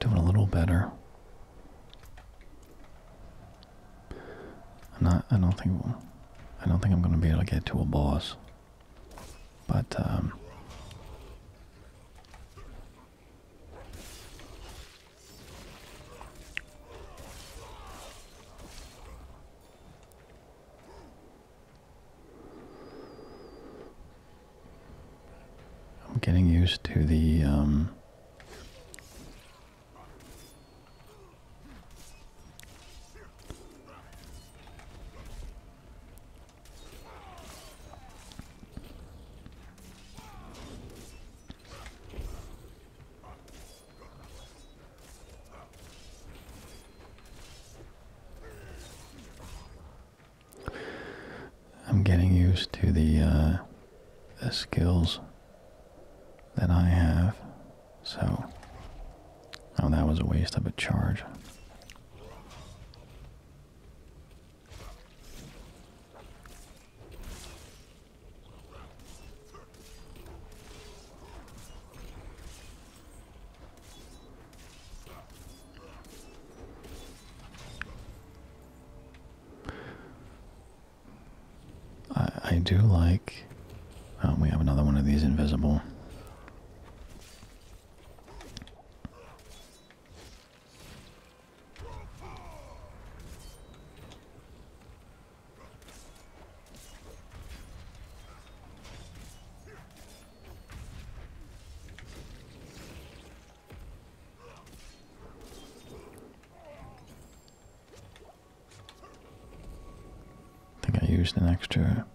Doing a little better. I'm not. I don't think. I don't think I'm going to be able to get to a boss. But um, I'm getting used to the um, I'm getting used to uh, the, skills that I have. So, oh, that was a waste of a charge. I, do like. Um, we have another one of these invisible. I think I used an extra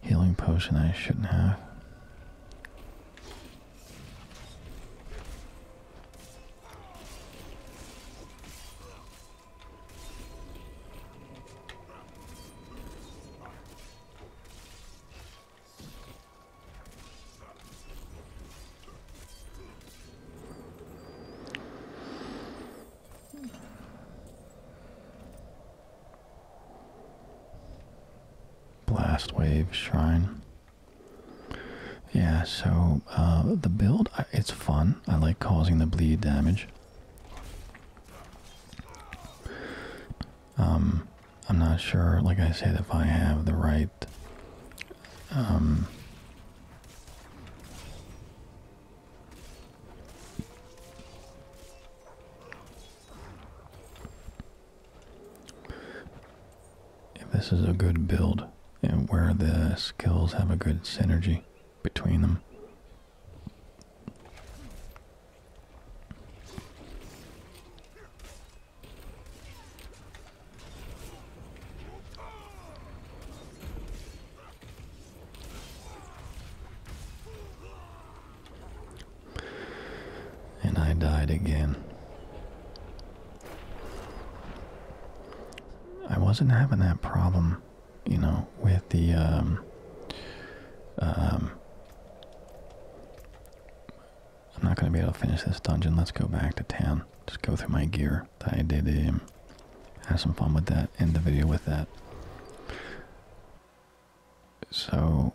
healing potion I shouldn't have. Blast Wave Shrine. Yeah, so uh, the build, it's fun. I like causing the bleed damage. Um, I'm not sure, like I said, if I have the right um, if this is a good build and where the skills have a good synergy between them. And I died again. I wasn't having that problem, you know, with the um, um I'm not going to be able to finish this dungeon. Let's go back to town. Just go through my gear. I did um, have some fun with that. End the video with that. So,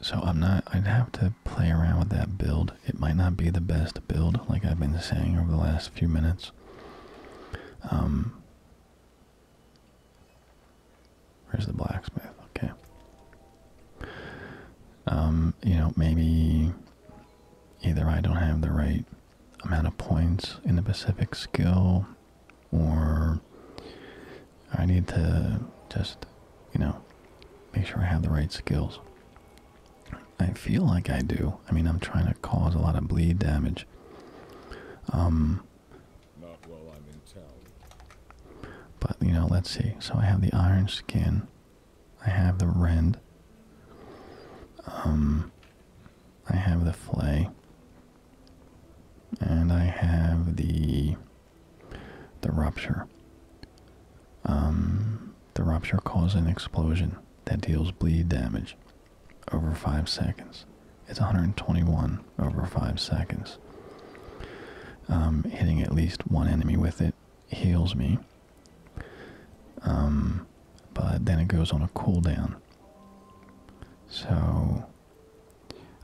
so I'm not. I'd have to play around with that build. It might not be the best build, like I've been saying over the last few minutes. Um, Where's the blacksmith? Okay. Um, you know, maybe either I don't have the right amount of points in a specific skill, or I need to just, you know, make sure I have the right skills. I feel like I do. I mean, I'm trying to cause a lot of bleed damage. Um, Not while I'm in town. But, you know, let's see. So I have the iron skin. I have the rend. Um, I have the flay. And I have the the rupture. Um, the rupture causes an explosion that deals bleed damage over 5 seconds. It's 121 over 5 seconds. Um, hitting at least one enemy with it heals me. Um, but then it goes on a cooldown. So,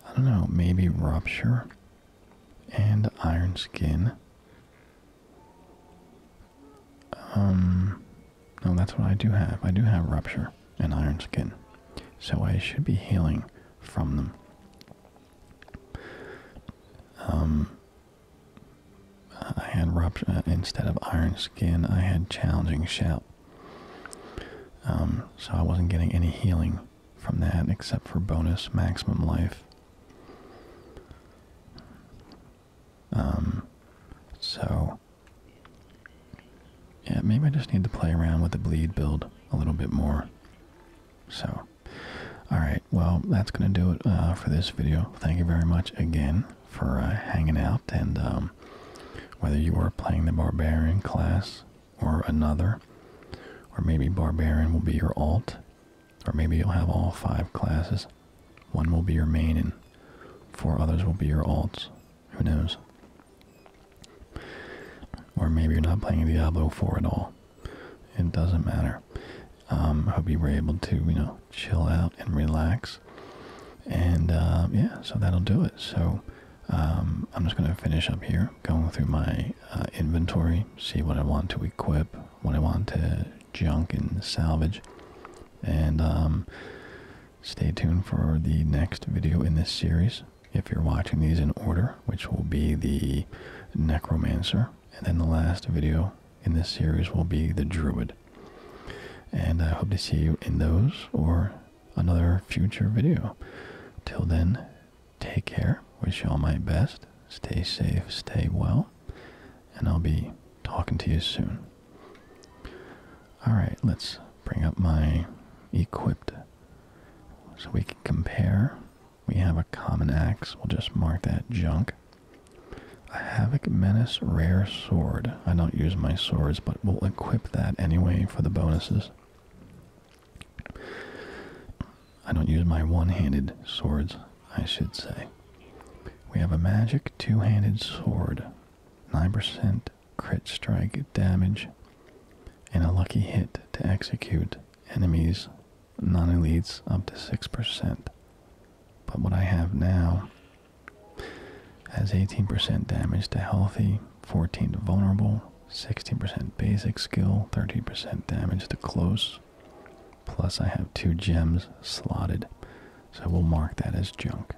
I don't know, maybe Rupture and Iron Skin. Um, no, that's what I do have. I do have Rupture and Iron Skin. So I should be healing from them. Um, I had uh, instead of iron skin. I had challenging shout. Um, so I wasn't getting any healing from that except for bonus maximum life. Um, so yeah, maybe I just need to play around with the bleed build a little bit more. So all right, well, that's going to do it uh, for this video. Thank you very much again for uh, hanging out. And um, whether you are playing the Barbarian class or another, or maybe Barbarian will be your alt, or maybe you'll have all five classes. One will be your main and four others will be your alts. Who knows? Or maybe you're not playing Diablo 4 at all it doesn't matter. Um, I hope you were able to, you know, chill out and relax. And um, yeah, so that'll do it. So um, I'm just going to finish up here, going through my uh, inventory, see what I want to equip, what I want to junk and salvage. And stay tuned for the next video in this series. If you're watching these in order, which will be the Necromancer. And then the last video in this series will be the Druid. And I hope to see you in those or another future video. Till then, take care. Wish you all my best. Stay safe, stay well. And I'll be talking to you soon. Alright, let's bring up my equipped so we can compare we have a common axe. We'll just mark that junk. A Havoc Menace Rare Sword. I don't use my swords, but we'll equip that anyway for the bonuses. I don't use my one-handed swords, I should say. We have a magic two-handed sword. 9% crit strike damage and a lucky hit to execute enemies non elites up to 6%. But what I have now has 18% damage to healthy, 14 to vulnerable, 16% basic skill, thirteen percent damage to close. Plus, I have two gems slotted, so we'll mark that as junk.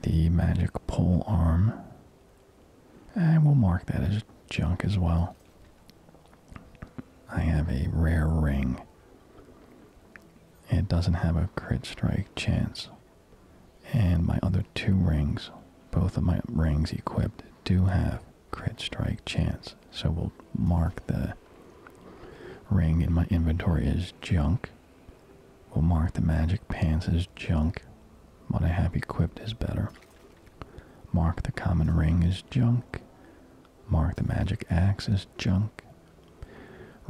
The magic pole arm and we'll mark that as junk as well. I have a rare ring. It doesn't have a crit strike chance. And my other two rings, both of my rings equipped, do have crit strike chance. So we'll mark the ring in my inventory as junk. We'll mark the magic pants as junk. What a happy quip is better. Mark the common ring is junk. Mark the magic axe is junk.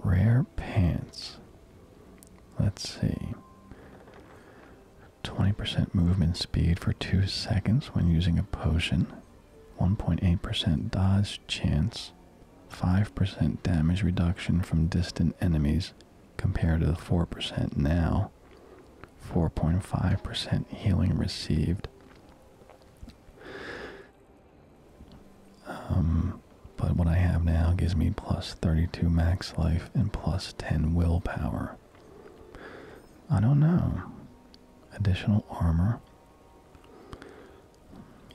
Rare pants. Let's see. 20% movement speed for 2 seconds when using a potion. 1.8% dodge chance. 5% damage reduction from distant enemies compared to the 4% now. 4.5% healing received. Um, but what I have now gives me plus 32 max life and plus 10 willpower. I don't know. Additional armor.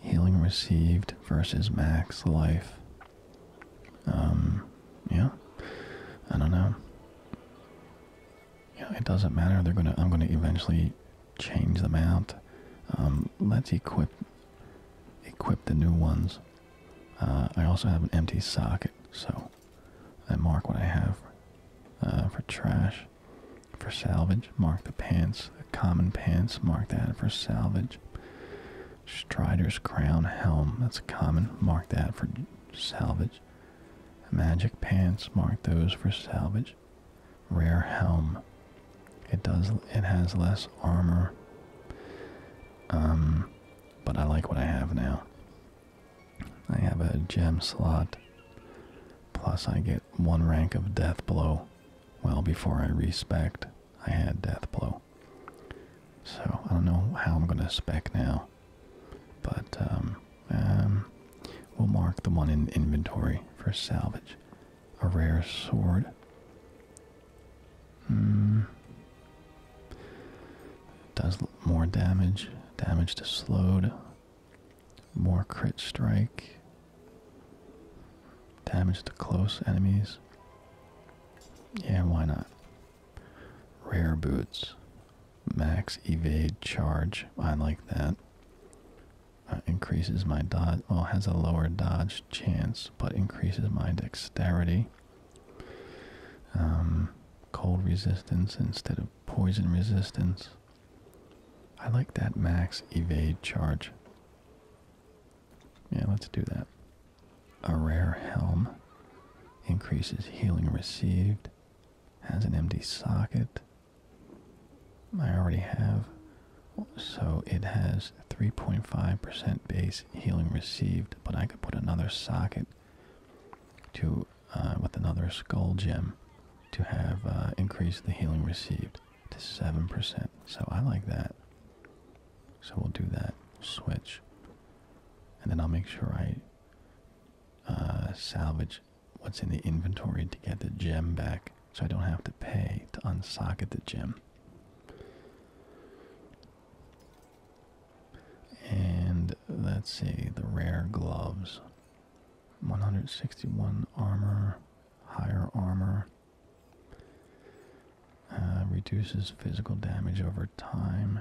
Healing received versus max life. Um, yeah. I don't know it doesn't matter. I'm gonna eventually change them out. Um, let's equip equip the new ones. Uh, I also have an empty socket, so I mark what I have uh, for trash, for salvage. Mark the pants, the common pants. Mark that for salvage. Strider's crown helm. That's a common. Mark that for salvage. Magic pants mark those for salvage. Rare helm. It does. It has less armor. Um, but I like what I have now. I have a gem slot. Plus, I get one rank of death blow. Well, before I respect, I had death blow. So I don't know how I'm gonna spec now. But um, um, we'll mark the one in inventory for salvage. A rare sword. Hmm. Does more damage. Damage to slowed. More crit strike. Damage to close enemies. Yeah, why not? Rare boots. Max evade charge. I like that. Uh, increases my dodge. Well, has a lower dodge chance, but increases my dexterity. Um, cold resistance instead of poison resistance. I like that max evade charge. Yeah, let's do that. A rare helm increases healing received has an empty socket. I already have. So it has 3.5% base healing received, but I could put another socket to uh, with another skull gem to have uh, increase the healing received to 7%. So I like that. So we'll do that. Switch. And then I'll make sure I uh, salvage what's in the inventory to get the gem back so I don't have to pay to unsocket the gem. And let's see, the rare gloves. 161 armor, higher armor. Uh, reduces physical damage over time.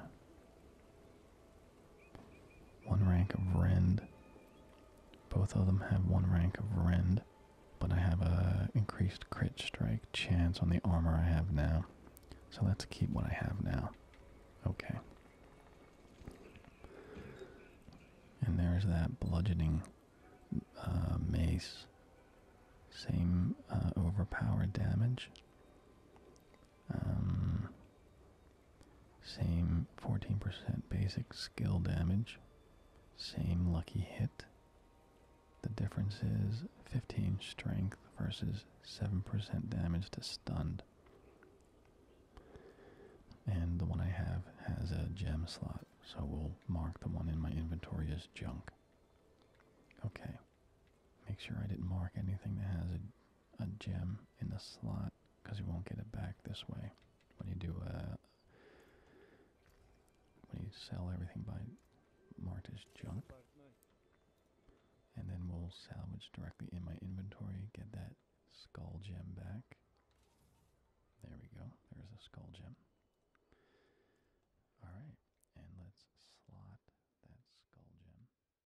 One rank of rend. Both of them have one rank of rend, but I have a increased crit strike chance on the armor I have now. So let's keep what I have now. Okay. And there's that bludgeoning uh, mace. Same uh, overpowered damage. Um, same 14% basic skill damage. Same lucky hit. The difference is 15 strength versus 7% damage to stunned. And the one I have has a gem slot, so we'll mark the one in my inventory as junk. Okay. Make sure I didn't mark anything that has a a gem in the slot because you won't get it back this way when you do a uh, when you sell everything by Martis junk and then we'll salvage directly in my inventory get that skull gem back there we go there's a skull gem all right and let's slot that skull gem